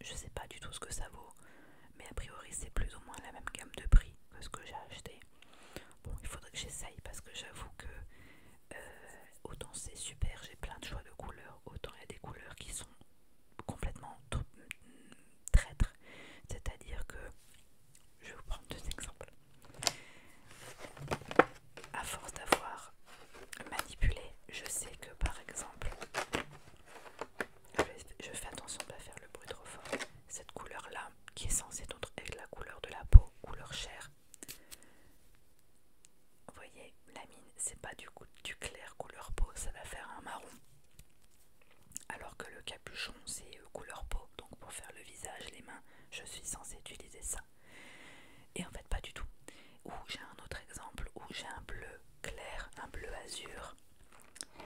Je sais pas du tout ce que ça vaut, mais a priori, c'est plus ou moins la même gamme de prix que ce que j'ai acheté. Bon, il faudrait que j'essaye parce que j'avoue que euh, autant c'est super, j'ai plein de choix de couleurs, autant il y a des couleurs qui sont complètement mm, traîtres. C'est-à-dire que, je vais vous prendre deux exemples. À force d'avoir manipulé, je sais que par exemple, je fais attention de ne pas faire le bruit trop fort, cette couleur-là, qui est censée être la couleur de la peau, couleur chair, vous voyez, la mine, c'est pas du, coup du clair couleur peau, ça va faire un marron. Alors que le capuchon, c'est euh, couleur peau. Donc pour faire le visage, les mains, je suis censée utiliser ça. Et en fait, pas du tout. Ou j'ai un autre exemple où j'ai un bleu clair, un bleu azur.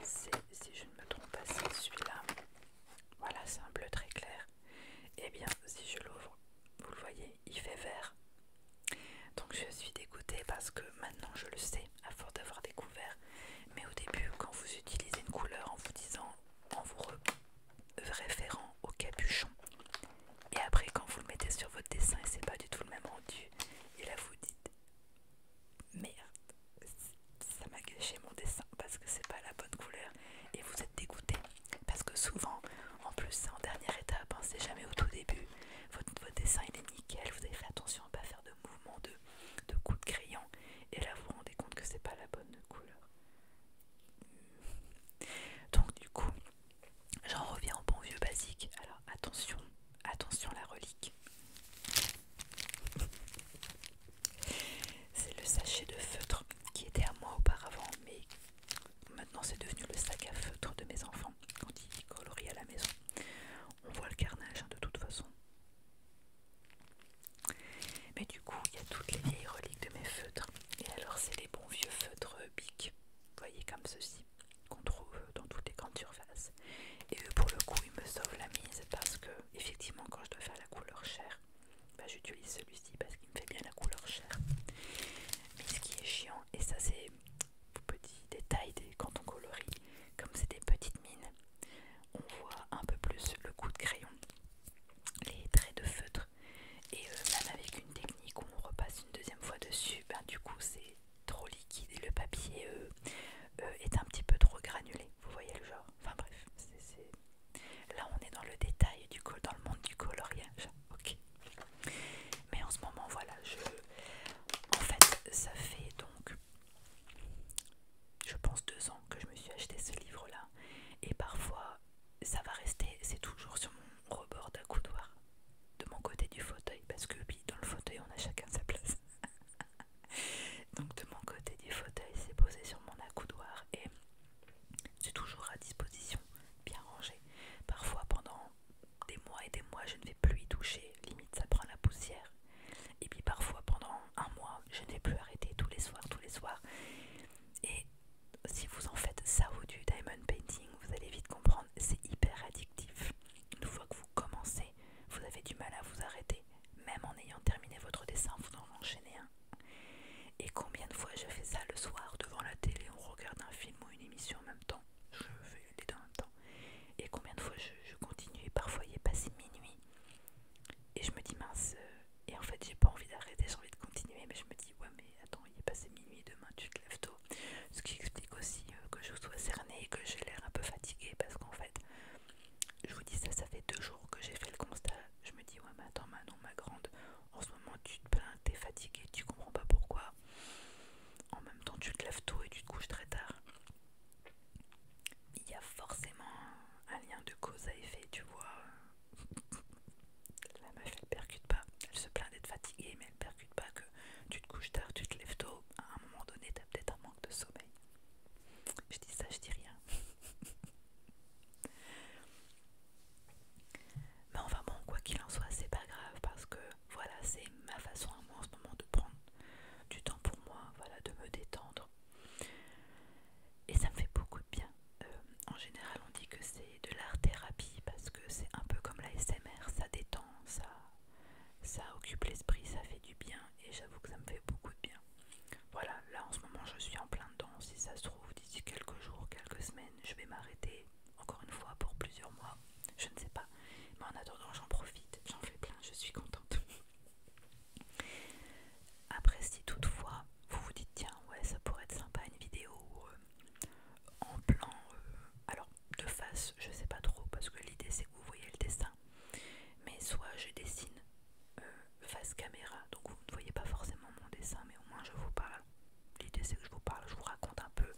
si je ne me trompe pas, c'est celui-là. Voilà, c'est un bleu très clair. Et eh bien, si je l'ouvre, vous le voyez, il fait vert. Donc je suis dégoûtée parce que maintenant je le sais, à force d'avoir découvert. Mais au début, quand vous utilisez une couleur en vous disant, en vous référant au capuchon, et après quand vous le mettez sur votre dessin et c'est pas du tout le même rendu, et là vous dites merde, ça m'a gâché mon dessin parce que c'est pas la bonne couleur et vous êtes dégoûté. Parce que souvent, en plus c'est en dernière étape, hein, c'est jamais au tout début. Votre, dessin il est nickel, vous avez fait attention à ne pas faire de mouvement de, de coups de crayon. Et là vous vous rendez compte que c'est pas la bonne couleur. Hmm. Donc du coup, j'en reviens au bon vieux basique. Alors attention, attention la relique. C'est le sachet de feutre qui était à moi auparavant mais Maintenant, c'est devenu le sac à feutre de mes enfants quand ils colorient à la maison. On voit le carnage hein, de toute façon. Mais du coup, il y a toutes les vieilles reliques de mes feutres. Et alors, c'est les bons vieux feutres euh, bic, voyez comme ceci, qu'on trouve euh, dans toutes les grandes surfaces. Et pour le coup, ils me sauvent la mise parce que, effectivement, quand je dois faire la couleur chère. Bah, j'utilise celui-ci parce qu'il me fait bien la couleur chair. Mais ce qui est chiant, et ça c'est petit détail détails quand on colorie, comme c'est des petites mines, on voit un peu plus le coup de crayon, les traits de feutre. Et euh, même avec une technique où on repasse une deuxième fois dessus, ben, du coup c'est trop liquide et le papier euh, euh, est un petit peu trop granulé. Vous voyez le genre Enfin bref, c'est Là, on est dans le détail du col, dans le monde du coloriage. Ok. Mais en ce moment, voilà, je. En fait, ça fait donc, je pense deux ans que je me suis acheté ce livre-là, et parfois, ça va rester. C'est toujours sur mon rebord d'accoudoir, de mon côté du fauteuil, parce que oui, dans le fauteuil, on a chacun sa place. *laughs* Donc de mon côté du fauteuil, c'est posé sur mon accoudoir et c'est toujours à disposition, bien rangé. Parfois pendant des mois et des mois, je ne vais plus y toucher, limite ça prend la poussière. Et puis parfois pendant un mois, je ne vais plus arrêter tous les soirs, tous les soirs. Et si vous en faites ça ou du diamond painting, vous allez vite comprendre, c'est hyper addictif. Une fois que vous commencez, vous avez du mal à vous arrêter. Même en ayant terminé votre dessin, vous en enchaînez un. Et combien de fois je fais ça le soir devant la télé, on regarde un film ou une émission en même temps, je fais les deux en même temps. Et combien de fois je, continue et parfois il est passé minuit. Et je me dis mince, euh, et en fait j'ai pas envie d'arrêter, j'ai envie de continuer, mais je me dis ouais mais attends, il est passé minuit, demain tu te lèves tôt. Ce qui explique aussi euh, que je sois cernée et que j'ai l'air un peu fatiguée parce qu'en fait, je vous dis ça, ça fait deux jours que j'ai fait le constat. Je me dis ouais mais attends maintenant ma grande, en ce moment tu te plains, t'es fatigué, tu comprends pas pourquoi. En même temps tu te lèves tôt et tu te couches très tard. Il y a forcément un lien de cause à effet, tu vois. La meuf elle percute pas, elle se plaint d'être fatiguée, mais elle percute pas que tu te couches tard, tu te lèves tôt. À un moment donné, t'as peut-être un manque de sommeil. Je dis ça, je dis rien. *laughs* Mais enfin bon, quoi qu'il en soit, c'est pas grave parce que voilà, c'est ma façon à moi en ce moment de prendre du temps pour moi, voilà, de me détendre. Et ça me fait beaucoup de bien. Euh, en général, on dit que c'est de l'art-thérapie parce que c'est un peu comme la SMR, ça détend, ça, ça occupe l'esprit, ça fait du bien et j'avoue que ça me fait beaucoup de bien. Voilà, là en ce moment, je suis en plein dedans. Si ça se vous d'ici quelques jours, quelques semaines, je vais m'arrêter encore une fois pour plusieurs mois. Je ne sais pas. Mais en attendant, j'en profite, j'en fais plein, je suis contente. Après, si toutefois vous vous dites, tiens, ouais, ça pourrait être sympa une vidéo euh, en plan. Euh, alors, de face, je sais pas trop, parce que l'idée c'est que vous voyez le dessin. Mais soit je dessine euh, face caméra, donc vous ne voyez pas forcément mon dessin, mais au moins je vous parle L'idée c'est que je vous parle, je vous raconte un peu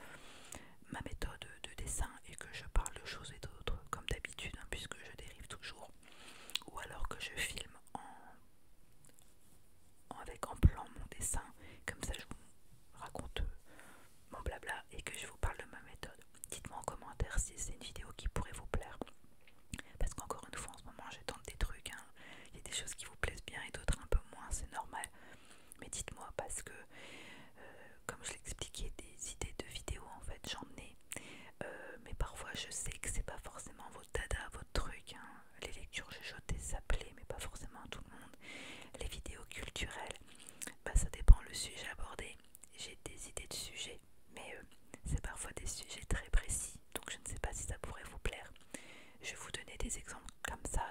ma méthode de dessin et que je parle de choses et d'autres comme d'habitude hein, puisque je dérive toujours. Ou alors que je filme en, avec en plan mon dessin, comme ça je vous raconte mon blabla et que je vous parle de ma méthode. Dites-moi en commentaire si c'est une vidéo qui pourrait vous plaire. Parce qu'encore une fois en ce moment je tente des trucs, hein il y a des choses qui vous plaisent bien et d'autres un peu moins, c'est normal. Mais dites-moi parce que, euh, comme je l'expliquais, des idées de vidéos en fait j'en ai. Euh, mais parfois je sais que c'est pas forcément votre dada, votre truc. Hein. Les lectures je je ça plaît, mais pas forcément à tout le monde. Les vidéos culturelles, bah, ça dépend le sujet abordé. J'ai des idées de sujets, mais euh, c'est parfois des sujets très précis donc je ne sais pas si ça pourrait vous plaire. Je vais vous donner des exemples comme ça.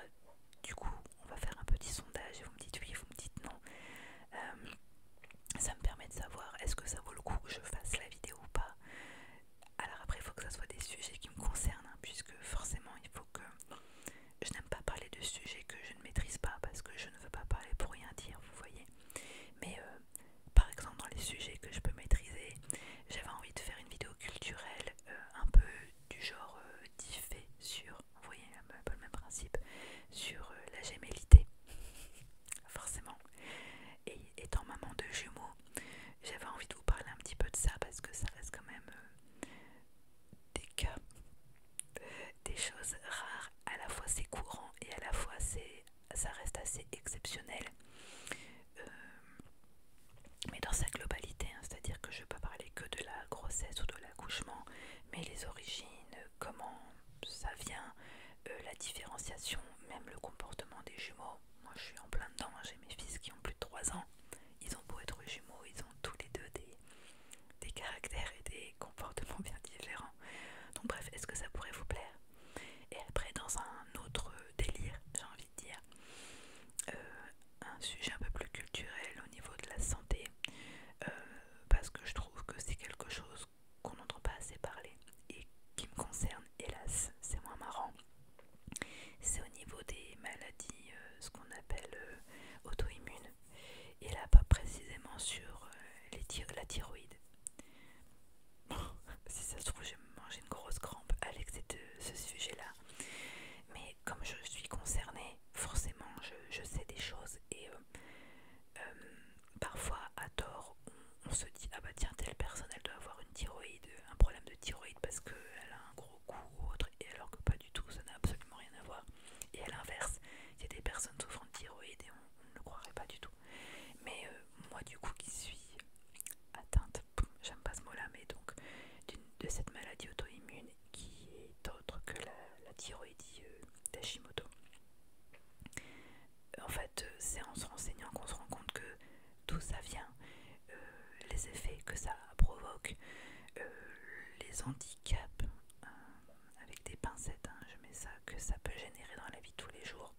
Du coup, on va faire un petit sondage et vous me dites oui, vous me dites non. Euh, ça me permet de savoir est-ce que ça vaut le coup que je fasse la vidéo ou pas. Alors après, il faut que ça soit des sujets qui me concernent, hein, puisque forcément, il faut que je n'aime pas parler de sujets que je ne maîtrise pas, parce que je ne veux pas parler pour rien dire, vous voyez. Mais euh, par exemple, dans les sujets que je peux maîtriser, j'avais envie de faire une vidéo culturelle euh, un peu du genre euh, sur, vous voyez un peu le même principe, sur euh, la gémellité, *laughs* forcément. Et étant maman de jumeaux, j'avais envie de vous parler un petit peu de ça parce que ça reste quand même euh, des cas, des choses rares. À la fois c'est courant et à la fois c'est ça reste assez exceptionnel. Euh, mais dans sa globalité, hein, c'est-à-dire que je ne vais pas parler que de la grossesse ou de l'accouchement, mais les origines, comment ça vient, euh, la différenciation, même le comportement des jumeaux. Moi je suis en plein dedans, hein, j'ai mes fils qui ont plus de 3 ans, ils ont beau être jumeaux, ils ont tous les deux des, des caractères et des comportements *laughs* bien différents. Donc bref, est-ce que ça pourrait vous plaire Et après, dans un autre délire, j'ai envie de dire. Euh, un sujet un peu plus culturel au niveau de la santé, euh, parce que je trouve que c'est quelque chose qu'on n'entend pas assez parler et qui me concerne, hélas, c'est moins marrant. C'est au niveau des maladies, euh, ce qu'on appelle auto-immunes, et là pas précisément sur la thyroïde. *laughs* si ça se trouve, j'ai mangé une grosse crampe avec ce sujet-là. Mais comme je suis concernée, forcément, je, sais des choses et euh, euh, parfois, à tort, on, se dit ah bah tiens telle personne elle doit avoir une thyroïde, un problème de thyroïde parce qu'elle a un gros coup ou autre, et alors que pas du tout, ça n'a absolument rien à voir. Et à l'inverse, il y a des personnes souffrant de thyroïde et on, ne le croirait pas du tout. Mais euh, moi du coup qui suis atteinte j'aime pas ce mot-là, mais donc de cette maladie auto-immune qui est autre que la, thyroïdie euh, d'Hashimoto. Euh, en fait, euh, c'est en se renseignant qu'on se rend compte que d'où ça vient, les effets que ça provoque, les handicaps, avec des pincettes, hein, je mets ça, que ça peut générer dans la vie tous les jours.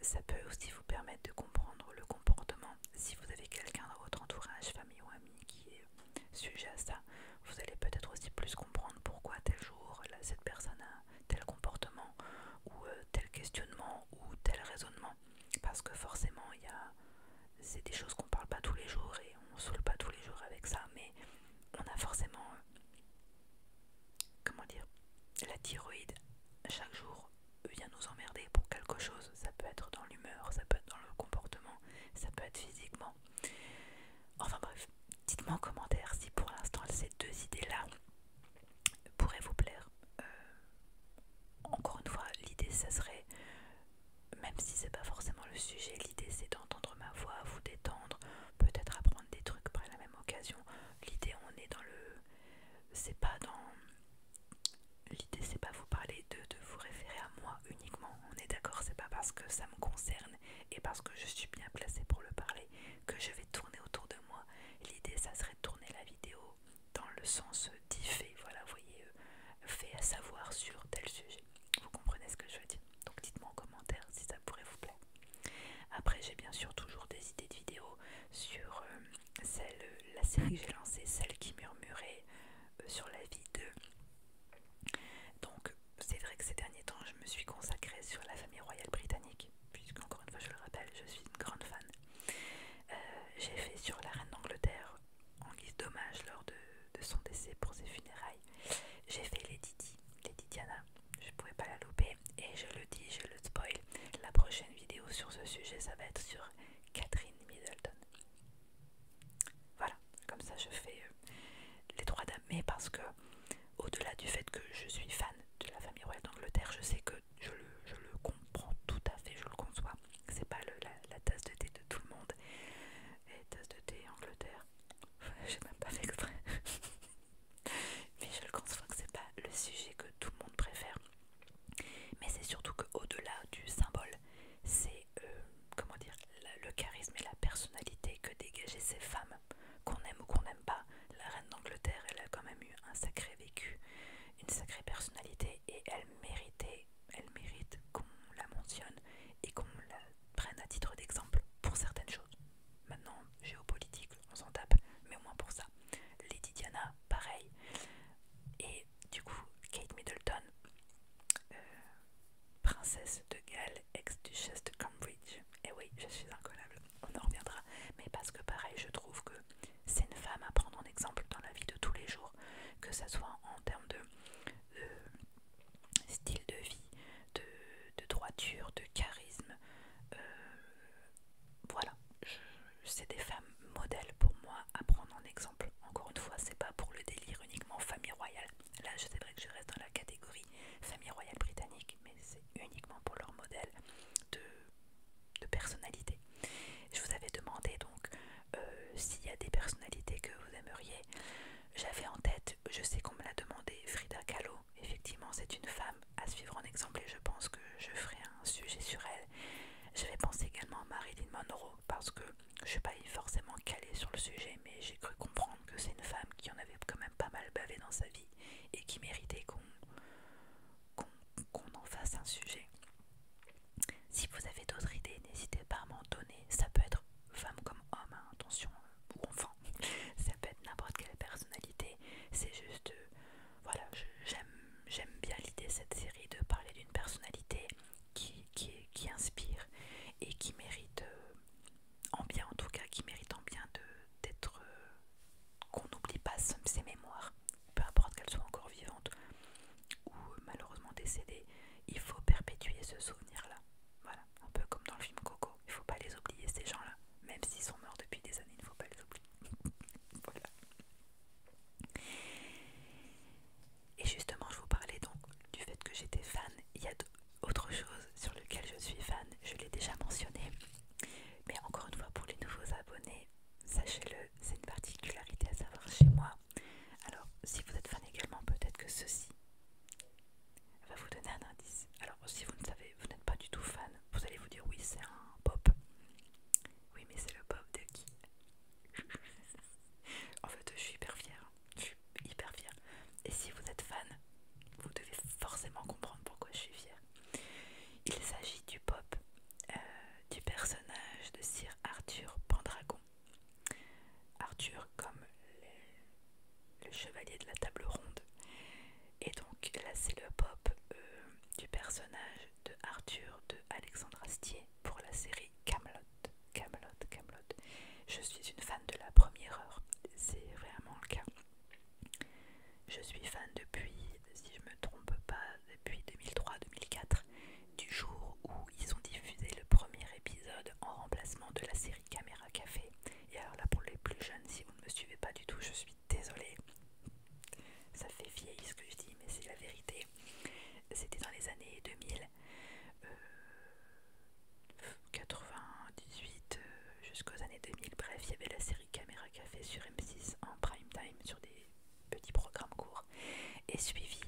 Ça peut aussi vous permettre de comprendre le comportement si vous avez quelqu'un dans votre entourage, famille ou ami qui est sujet à ça, vous allez peut-être aussi plus comprendre pourquoi tel jour cette personne a tel comportement ou euh, tel questionnement ou tel raisonnement. Parce que forcément, il y a c'est des choses qu'on parle pas tous les jours et on ne saoule pas tous les jours avec ça, mais on a forcément euh, comment dire la thyroïde chaque jour vient nous emmerder pour quelque chose. Ça peut être dans l'humeur, ça peut être dans le comportement, ça peut être physiquement. Enfin bref, dites-moi en commentaire si pour l'instant ces deux idées-là pourraient vous plaire. Euh, encore une fois, l'idée, ça serait, même si c'est pas forcément le sujet, l'idée c'est d'entendre ma voix, vous détendre, peut-être apprendre des trucs par la même occasion. L'idée, on est dans le... C'est pas dans l'idée c'est pas vous parler de, vous référer à moi uniquement. On est d'accord, c'est pas parce que ça me concerne et parce que je suis bien placée pour le parler que je vais tourner autour de moi. L'idée ça serait de tourner la vidéo dans le sens dit fait, voilà, vous voyez, euh, fait à savoir sur tel sujet. Vous comprenez ce que je veux dire Donc dites-moi en commentaire si ça pourrait vous plaire. Après j'ai bien sûr toujours des idées de vidéos sur euh, c'est la série que j'ai lancée, celle qui murmurait euh, sur la vie de. Donc, c'est vrai que ces derniers temps, je me suis consacrée sur la famille royale britannique, puisque, encore une fois, je le rappelle, je suis une grande fan. Euh, j'ai fait sur la reine d'Angleterre, en guise d'hommage lors de, son décès pour ses funérailles. J'ai fait les Didi, les Diana, je pouvais pas la louper, et je le dis, je le spoil. La prochaine vidéo sur ce sujet, ça va être sur Catherine Middleton. Voilà, comme ça je fais euh, les trois dames. Mais parce que, au-delà du fait que je suis fan de la famille royale d'Angleterre, je sais que je le, comprends tout à fait, je le conçois. C'est pas la, tasse de thé de tout le monde. Et tasse de thé Angleterre, *laughs* j'ai même pas fait *laughs* Mais je le conçois que c'est pas le sujet que tout le monde préfère. Mais c'est surtout qu'au-delà du symbole, c'est euh, comment dire le charisme et la personnalité que dégageaient ces femmes, qu'on aime ou qu'on n'aime pas. La reine d'Angleterre, elle a quand même eu un sacré vécu, une sacrée personnalité, et elle méritait, elle mérite qu'on la mentionne et qu'on la prenne à titre d'exemple pour certaines choses. Maintenant, géopolitique, on s'en tape, mais au moins pour ça. Lady Diana, pareil. Et du coup Kate Middleton, euh, princesse de Galles, ex-duchesse de Cambridge. Et eh oui, je suis incollable, on en reviendra. Mais parce que pareil, je trouve que c'est une femme à prendre en exemple dans la vie de tous les jours, que ce soit en termes de euh, style de vie, de, droiture, de charisme. Euh, voilà, c'est des femmes modèles pour moi à prendre en exemple. Encore une fois, c'est pas pour le délire uniquement famille royale. Là, je sais vrai que je reste dans la catégorie famille royale britannique, mais c'est uniquement pour leur modèle de, personnalité. Je vous avais demandé donc euh, s'il y a des personnalités que vous aimeriez. J'avais en tête, je sais qu'on me l'a demandé, Frida Kahlo. Effectivement, c'est une femme à suivre en exemple et je pense que je ferai un sujet sur elle je vais penser également à Marilyn Monroe parce que je ne suis pas forcément calée sur le sujet, mais j'ai cru comprendre que c'est une femme qui en avait quand même pas mal bavé dans sa vie et qui méritait qu'on qu'on en fasse un sujet. Si vous avez d'autres idées, n'hésitez pas à m'en donner. Ça peut être femme comme homme, hein, attention, euh, ou enfant. *laughs* Ça peut être n'importe quelle personnalité. C'est juste euh, voilà, j'aime bien l'idée de cette série de parler d'une personnalité qui, inspire et qui mérite, euh, en bien en tout cas, qui mérite en bien d'être, euh, qu'on n'oublie pas ses mémoires, peu importe qu'elles soient encore vivantes ou euh, malheureusement décédées, il faut perpétuer ce souvenir-là. Voilà, un peu comme dans le film Coco, il ne faut pas les oublier ces gens-là, même s'ils sont morts depuis des années, il ne faut pas les oublier. *laughs* voilà. Et justement, je vous parlais donc du fait que j'étais fan. Il y a autre chose sur lequel je suis fan, je l'ai déjà mentionné. Mais encore une fois, pour les nouveaux abonnés, sachez-le, c'est une particularité à savoir chez moi. Alors, si vous êtes fan également, peut-être que ceci va vous donner un indice. Alors, si vous ne savez, vous n'êtes pas du tout fan, vous allez vous dire oui, c'est un pop. Oui, mais c'est le pop de qui en fait, je suis hyper fière. Je suis hyper fière. Et si vous êtes fan, vous devez forcément comprendre pourquoi je suis fière. Il s'agit du pop euh, du personnage de Sir Arthur Pendragon. Arthur comme le, chevalier de la table ronde. Et donc là, c'est le pop euh, du personnage de Arthur de Alexandre Astier pour la série Camelot. Camelot, Camelot. Je suis une fan de la première heure, c'est vraiment le cas. Je suis fan depuis, si je me trompe pas, depuis 2003-2004, du jour où ils ont diffusé le premier épisode en remplacement de la série Caméra Café. Et alors là, pour les plus jeunes, si vous ne me suivez pas du tout, je suis désolée. Ça fait vieille ce que je dis, mais c'est la vérité. C'était dans les années 2000, 98 euh, euh, jusqu'aux années 2000. Bref, il y avait la série Caméra Café sur M6 en prime time, sur des petits programmes courts. Et suivi,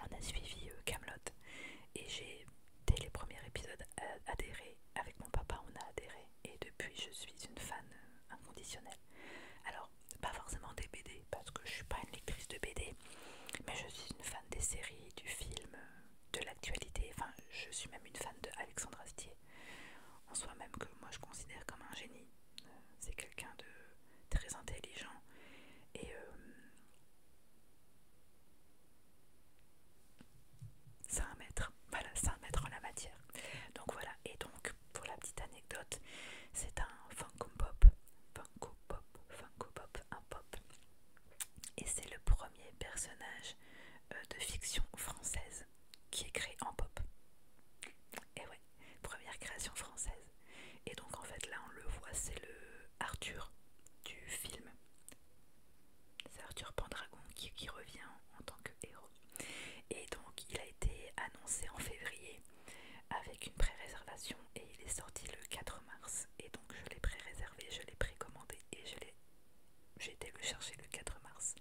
on a suivi Kaamelott, euh, Et j'ai, dès les premiers épisodes, adhéré. Avec mon papa, on a adhéré. Et depuis, je suis une fan inconditionnelle pas forcément des BD, parce que je suis pas une lectrice de BD, mais je suis une fan des séries, du film, de l'actualité. Enfin, je suis même une fan de Alexandre Astier, en soi-même que moi je considère comme un génie. Euh, c'est quelqu'un de très intelligent et euh, c'est un maître. Voilà, c'est un maître en la matière. Donc voilà, et donc pour la petite anecdote, c'est un Funko Pop, Funko Pop, Funko Pop, un pop. Et c'est le premier personnage euh, de fiction française qui est créé en pop. Et ouais, première création française. Et donc en fait là on le voit, c'est le Arthur du film. C'est Arthur Pendragon qui, qui revient en tant que héros. Et donc il a été annoncé en février avec une pré-réservation et il est sorti le 4 mars et donc je l'ai pré-réservé, je l'ai précommandé et je l'ai j'ai été le chercher le 4 mars.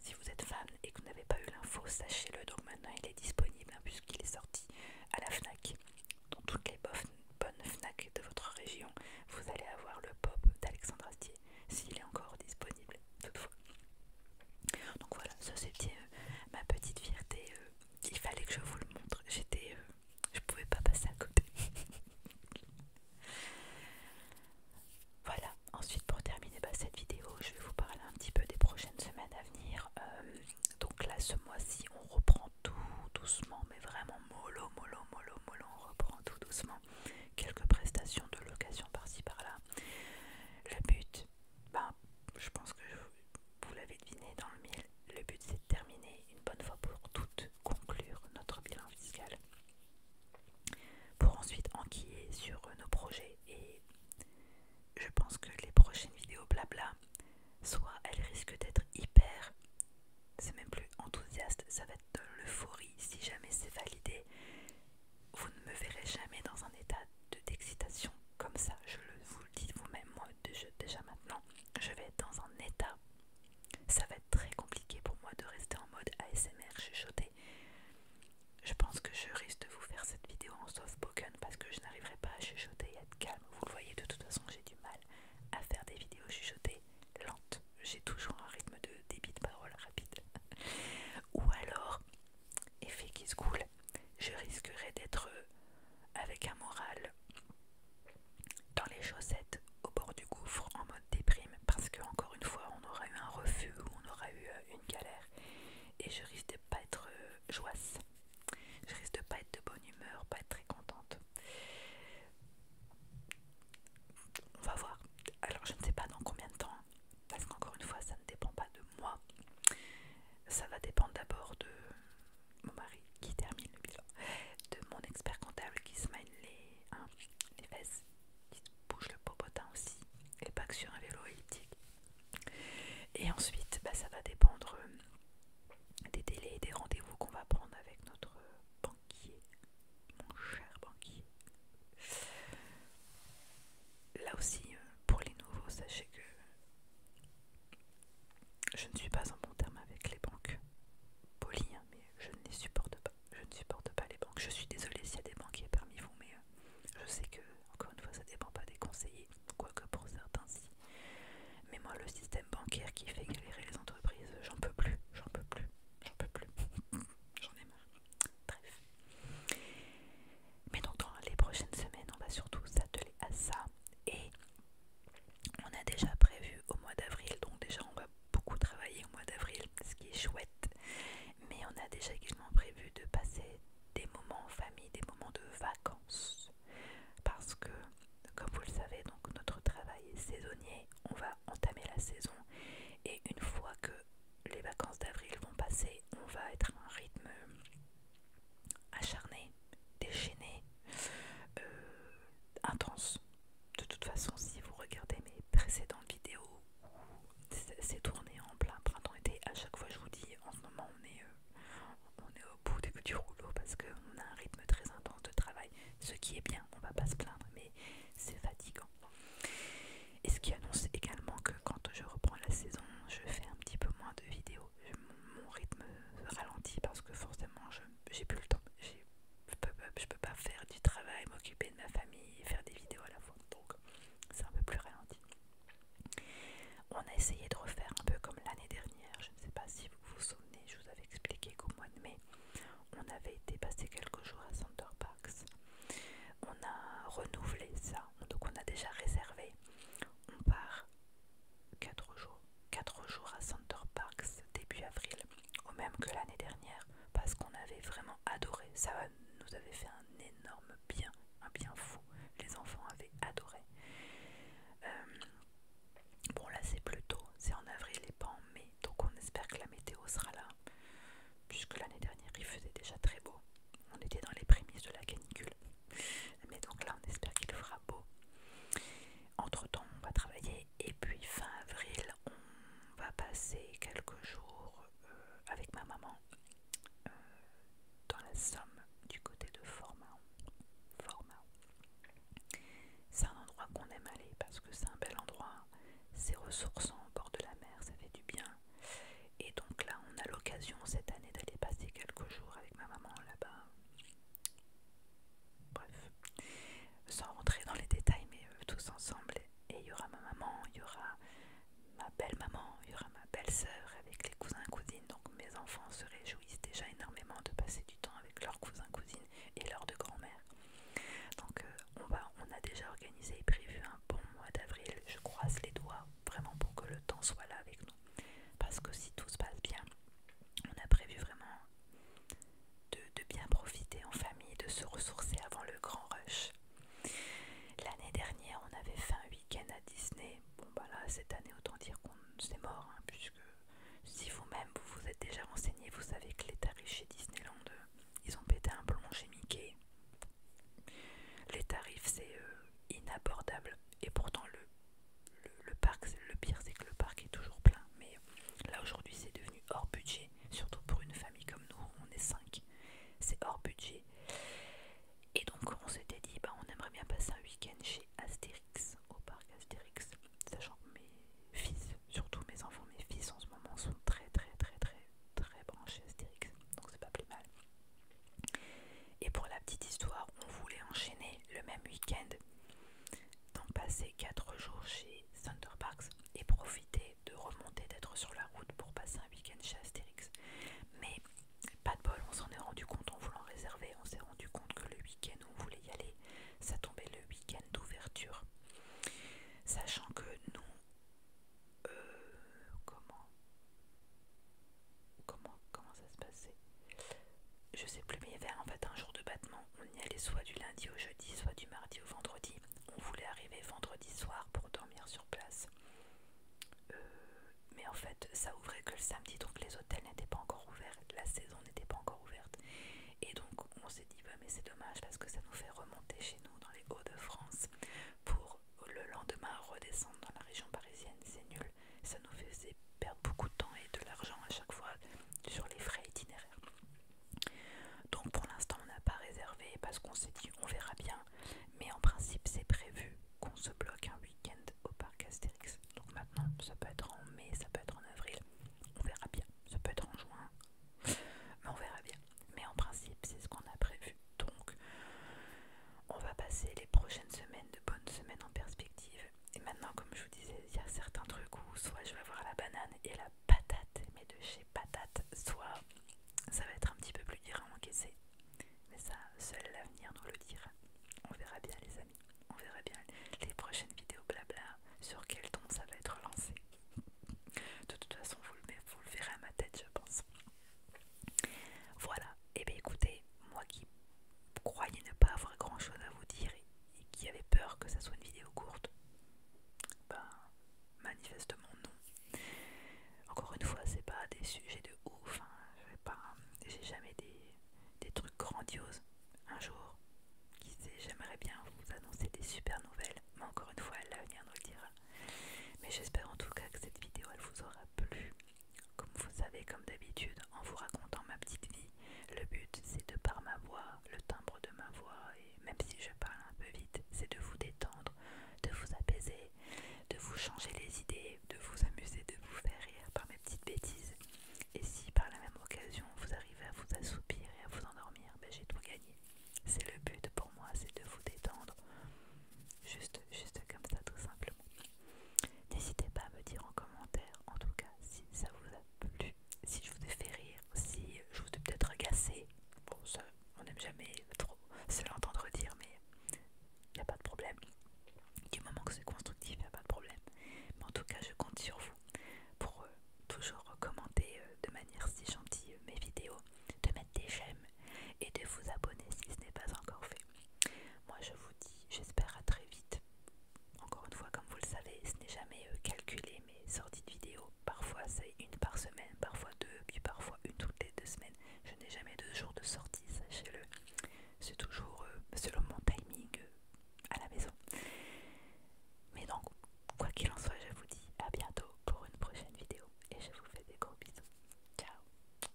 Si vous êtes fan et que vous n'avez pas eu l'info, sachez-le. Donc maintenant il est disponible hein, puisqu'il est sorti à la FNAC. Dans toutes les bonnes FNAC de votre région, vous allez avoir le pop d'Alexandre Astier, s'il est encore disponible toutefois. Donc voilà, ça c'était euh, ma petite fierté. Euh. il fallait que je vous le montre. J'étais, euh, je pouvais pas passer à côté. *laughs* voilà. Ensuite, pour terminer bah, cette vidéo, je vais vous parler un petit peu des prochaines semaines à venir. donc là, ce mois-ci, on reprend tout doucement, mais vraiment mollo, mollo, mollo, mollo. On reprend tout doucement. Quelques prestations de location par-ci par-là. Le but, ben, je pense que vous l'avez deviné dans le mille, le but c'est de terminer une bonne fois pour toutes, conclure notre bilan fiscal pour ensuite enquiller sur euh, nos projets et je pense que les prochaines vidéos blabla, soit elles risquent d'être hyper, c'est même plus enthousiaste, ça va être de l'euphorie si jamais c'est validé, vous ne me verrez jamais dans un état d'excitation comme ça. Je vous le dis vous-même, moi, déjà maintenant, je vais être dans un état. Ça va être très compliqué pour moi de rester en mode ASMR chuchoté. Je pense que je risque de vous faire cette vidéo en soft spoken parce que je n'arriverai pas à chuchoter et être calme. Vous le voyez, de toute façon, j'ai du mal à faire des vidéos chuchotées lentes. J'ai toujours un rythme de débit de parole rapide. *laughs* Ou alors, effet qui se coule, je risquerais d'être euh, avec un moral dans les chaussettes au bord du gouffre en mode déprime parce que encore une fois on aura eu un refus ou on aura eu euh, une galère et je risque de pas être euh, joisse. Je risque de pas être de bonne humeur, pas être très contente. On va voir. Alors je ne sais pas dans combien de temps parce qu'encore une fois ça ne dépend pas de moi ça va dépendre d'abord de mon mari qui termine le bilan de mon expert comptable qui se mène les, hein, fesses qui bouge le popotin aussi et pas sur un vélo elliptique et ensuite bah, ça va dépendre euh, des délais et des rendez-vous qu'on va prendre avec notre banquier mon cher banquier là aussi, euh, pour les nouveaux, sachez que je ne suis pas en bon terme avec les banques. polies, hein, mais je ne les supporte pas. Je ne supporte pas les banques. Je suis désolée s'il y a des banquiers parmi vous, mais euh, je sais que, encore une fois, ça dépend pas des conseillers, quoique pour certains si. Mais moi, le système bancaire qui fait galérer les entreprises, j'en peux plus, j'en peux plus, j'en peux plus. *laughs* j'en ai marre. Bref. Mais dans les prochaines semaines, on va surtout s'atteler à ça. Et on a déjà prévu au mois d'avril, donc déjà on va beaucoup travailler au mois d'avril, ce qui est chouette. Mais on a déjà également prévu de passer des moments en famille, des moments de vacances. Parce que, comme vous le savez, donc notre travail est saisonnier, on va entamer la saison. Et une fois que les vacances d'avril vont passer, on va être à un rythme acharné, déchaîné, euh, intense. De toute façon, si vous regardez mes précédentes vidéos, c'est tourné en plein printemps-été. À chaque fois, je vous dis, en ce moment, on est, euh, on est au bout du, du rouleau parce qu'on a un rythme très intense de travail. Ce qui est bien, on va pas se plaindre, mais c'est fatigant. Et ce qui annonce également que quand je reprends la saison, je fais un petit peu moins de vidéos. mon rythme ralentit parce que forcément, j'ai plus le temps. Je peux, peux pas faire du travail, m'occuper de ma famille et faire des vidéos à la fois. Donc, c'est un peu plus ralenti. On a essayé de refaire un peu comme l'année dernière. Je ne sais pas si vous vous souvenez, je vous avais expliqué qu'au mois de mai, on avait été passer quelques jours à Center Parks. On a renouvelé ça donc on a déjà réservé. On part 4 jours, 4 jours à Center Parks début avril, au même que l'année dernière, parce qu'on avait vraiment adoré. Ça nous avait fait un énorme bien, un bien fou. Les enfants avaient adoré. Euh, bon là c'est plus tôt, c'est en avril et pas en mai, donc on espère que la météo sera là, puisque l'année dernière il faisait déjà très beau. On était dans les prémices de la canicule. Mais donc là, on espère qu'il fera beau. Entre temps, on va travailler. Et puis fin avril, on va passer quelques jours euh, avec ma maman euh, dans la Somme, du côté de Format. C'est un endroit qu'on aime aller parce que c'est un bel endroit. C'est ressourçant au bord de la mer, ça fait du bien. Et donc là, on a l'occasion cette année d'aller passer quelques jours avec ma maman là-bas. Bref, sans rentrer dans les détails, mais euh, tous ensemble. Et il y aura ma maman, il y aura ma belle-maman, il y aura ma belle-sœur avec les cousins-cousines. Donc mes enfants se réjouissent déjà énormément de passer du temps avec leurs cousins-cousines et leurs deux grand-mères. Donc euh, on, va, on a déjà organisé et prévu un bon mois d'avril. Je croise les doigts vraiment pour que le temps soit là avec nous parce que si tout se passe bien, on a prévu vraiment de, bien profiter en famille, de se ressourcer avant le grand rush. L'année dernière, on avait fait un week-end à Disney. Bon, bah là, cette année, autant dire qu'on s'est mort, hein, puisque si vous-même vous vous êtes déjà renseigné, vous savez que les tarifs chez Disneyland, euh, ils ont pété un plomb chez Mickey. Les tarifs, c'est euh, inabordable et pourtant le, le, parc, le pire c'est que le parc est toujours plein. Mais là aujourd'hui c'est devenu hors budget, surtout pour une famille comme nous, on est 5, c'est hors budget. Et donc on s'était dit, bah, on aimerait bien passer un week-end chez Astérix, au parc Astérix, sachant que mes fils, surtout mes enfants, mes fils en ce moment sont très très très très très branchés Astérix, donc c'est pas plus mal. Et pour la petite histoire, on voulait enchaîner le même week-end, D'en passer 4 jours chez Thunder Parks et profiter de remonter, d'être sur la route pour passer un week-end chez Astérix. Mais pas de bol, on s'en est rendu compte en voulant réserver, on s'est rendu compte que le week-end où on voulait y aller, ça tombait le week-end d'ouverture. Sachant que nous, euh, comment comment, comment ça se passait Je sais plus, mais il y avait en fait un jour de battement. On y allait soit du lundi au jeudi, soit du mardi au vendredi. On voulait arriver vendredi soir pour dormir sur place. Euh, mais en fait, ça ouvrait que le samedi, donc les hôtels n'étaient pas encore ouverts, la saison n'était pas encore ouverte. Et donc on s'est dit, bah, mais c'est dommage parce que ça nous fait remonter chez nous dans les Hauts-de-France pour le lendemain redescendre dans la région parisienne, c'est nul. Ça nous faisait perdre beaucoup de temps et de l'argent à chaque fois sur les frais itinéraires. Donc pour l'instant on n'a pas réservé parce qu'on s'est dit on verra bien. Mais en principe c'est prévu qu'on se bloque un week-end au parc Astérix. Donc maintenant ça peut être en mai, ça peut être en avril. On verra bien. Ça peut être en juin. Mais on verra bien. Mais en principe c'est ce qu'on a prévu. Donc, on va passer les prochaines semaines de bonnes semaines en perspective. Et maintenant, comme je vous disais, il y a certains trucs où soit je vais avoir la banane et la patate, mais de chez patate, soit ça va être un petit peu plus dur à encaisser. Mais ça, seul l'avenir nous le dira. On verra bien, les amis. On verra bien les prochaines vidéos blabla sur quel ton ça va être lancé. De toute façon, vous le verrez à ma tête, je pense. Voilà, et eh bien écoutez, moi qui croyais ne pas avoir grand chose à vous dire et, qui avait peur que ça soit une vidéo courte, ben manifestement non. Encore une fois, c'est pas des sujets de ouf, hein. pas j'ai jamais des, des trucs grandioses. Un jour, qui sait, j'aimerais bien vous annoncer des super nouvelles, mais encore une fois, l'avenir nous le dira. Mais j'espère en tout cas que cette vidéo elle vous aura plu. Comme vous savez, comme d'habitude, en vous racontant ma petite vie, le but c'est de par ma voix, le timbre de ma voix, et même si je parle un peu vite, c'est de vous détendre, de vous apaiser, de vous changer les idées, de vous amuser, de vous faire rire par mes petites bêtises. Et si par la même occasion vous arrivez à vous assoupir et à vous endormir, ben j'ai tout gagné. C'est le but pour moi, c'est de vous détendre. Juste, juste comme ça, tout simplement. N'hésitez pas à me dire en commentaire, en tout cas, si ça vous a plu, si je vous ai fait rire, si je vous ai peut-être cassé. Bon, ça, on n'aime jamais trop se l'entendre dire, mais il n'y a pas de problème. Du moment que c'est constructif, il n'y a pas de problème. Mais en tout cas, je compte sur vous pour euh, toujours commenter euh, de manière si gentille euh, mes vidéos, de mettre des j'aime et de vous abonner si ce n'est pas encore fait. Moi je vous dis, j'espère à très vite. Encore une fois, comme vous le savez, ce n'est jamais euh, calculé mes sorties de vidéos. Parfois c'est une par semaine, parfois deux, puis parfois une toutes les deux semaines. Je n'ai jamais deux jours de sortie, sachez-le. C'est toujours euh, selon mon timing euh, à la maison. Mais donc, quoi qu'il en soit, je vous dis à bientôt pour une prochaine vidéo et je vous fais des gros bisous. Ciao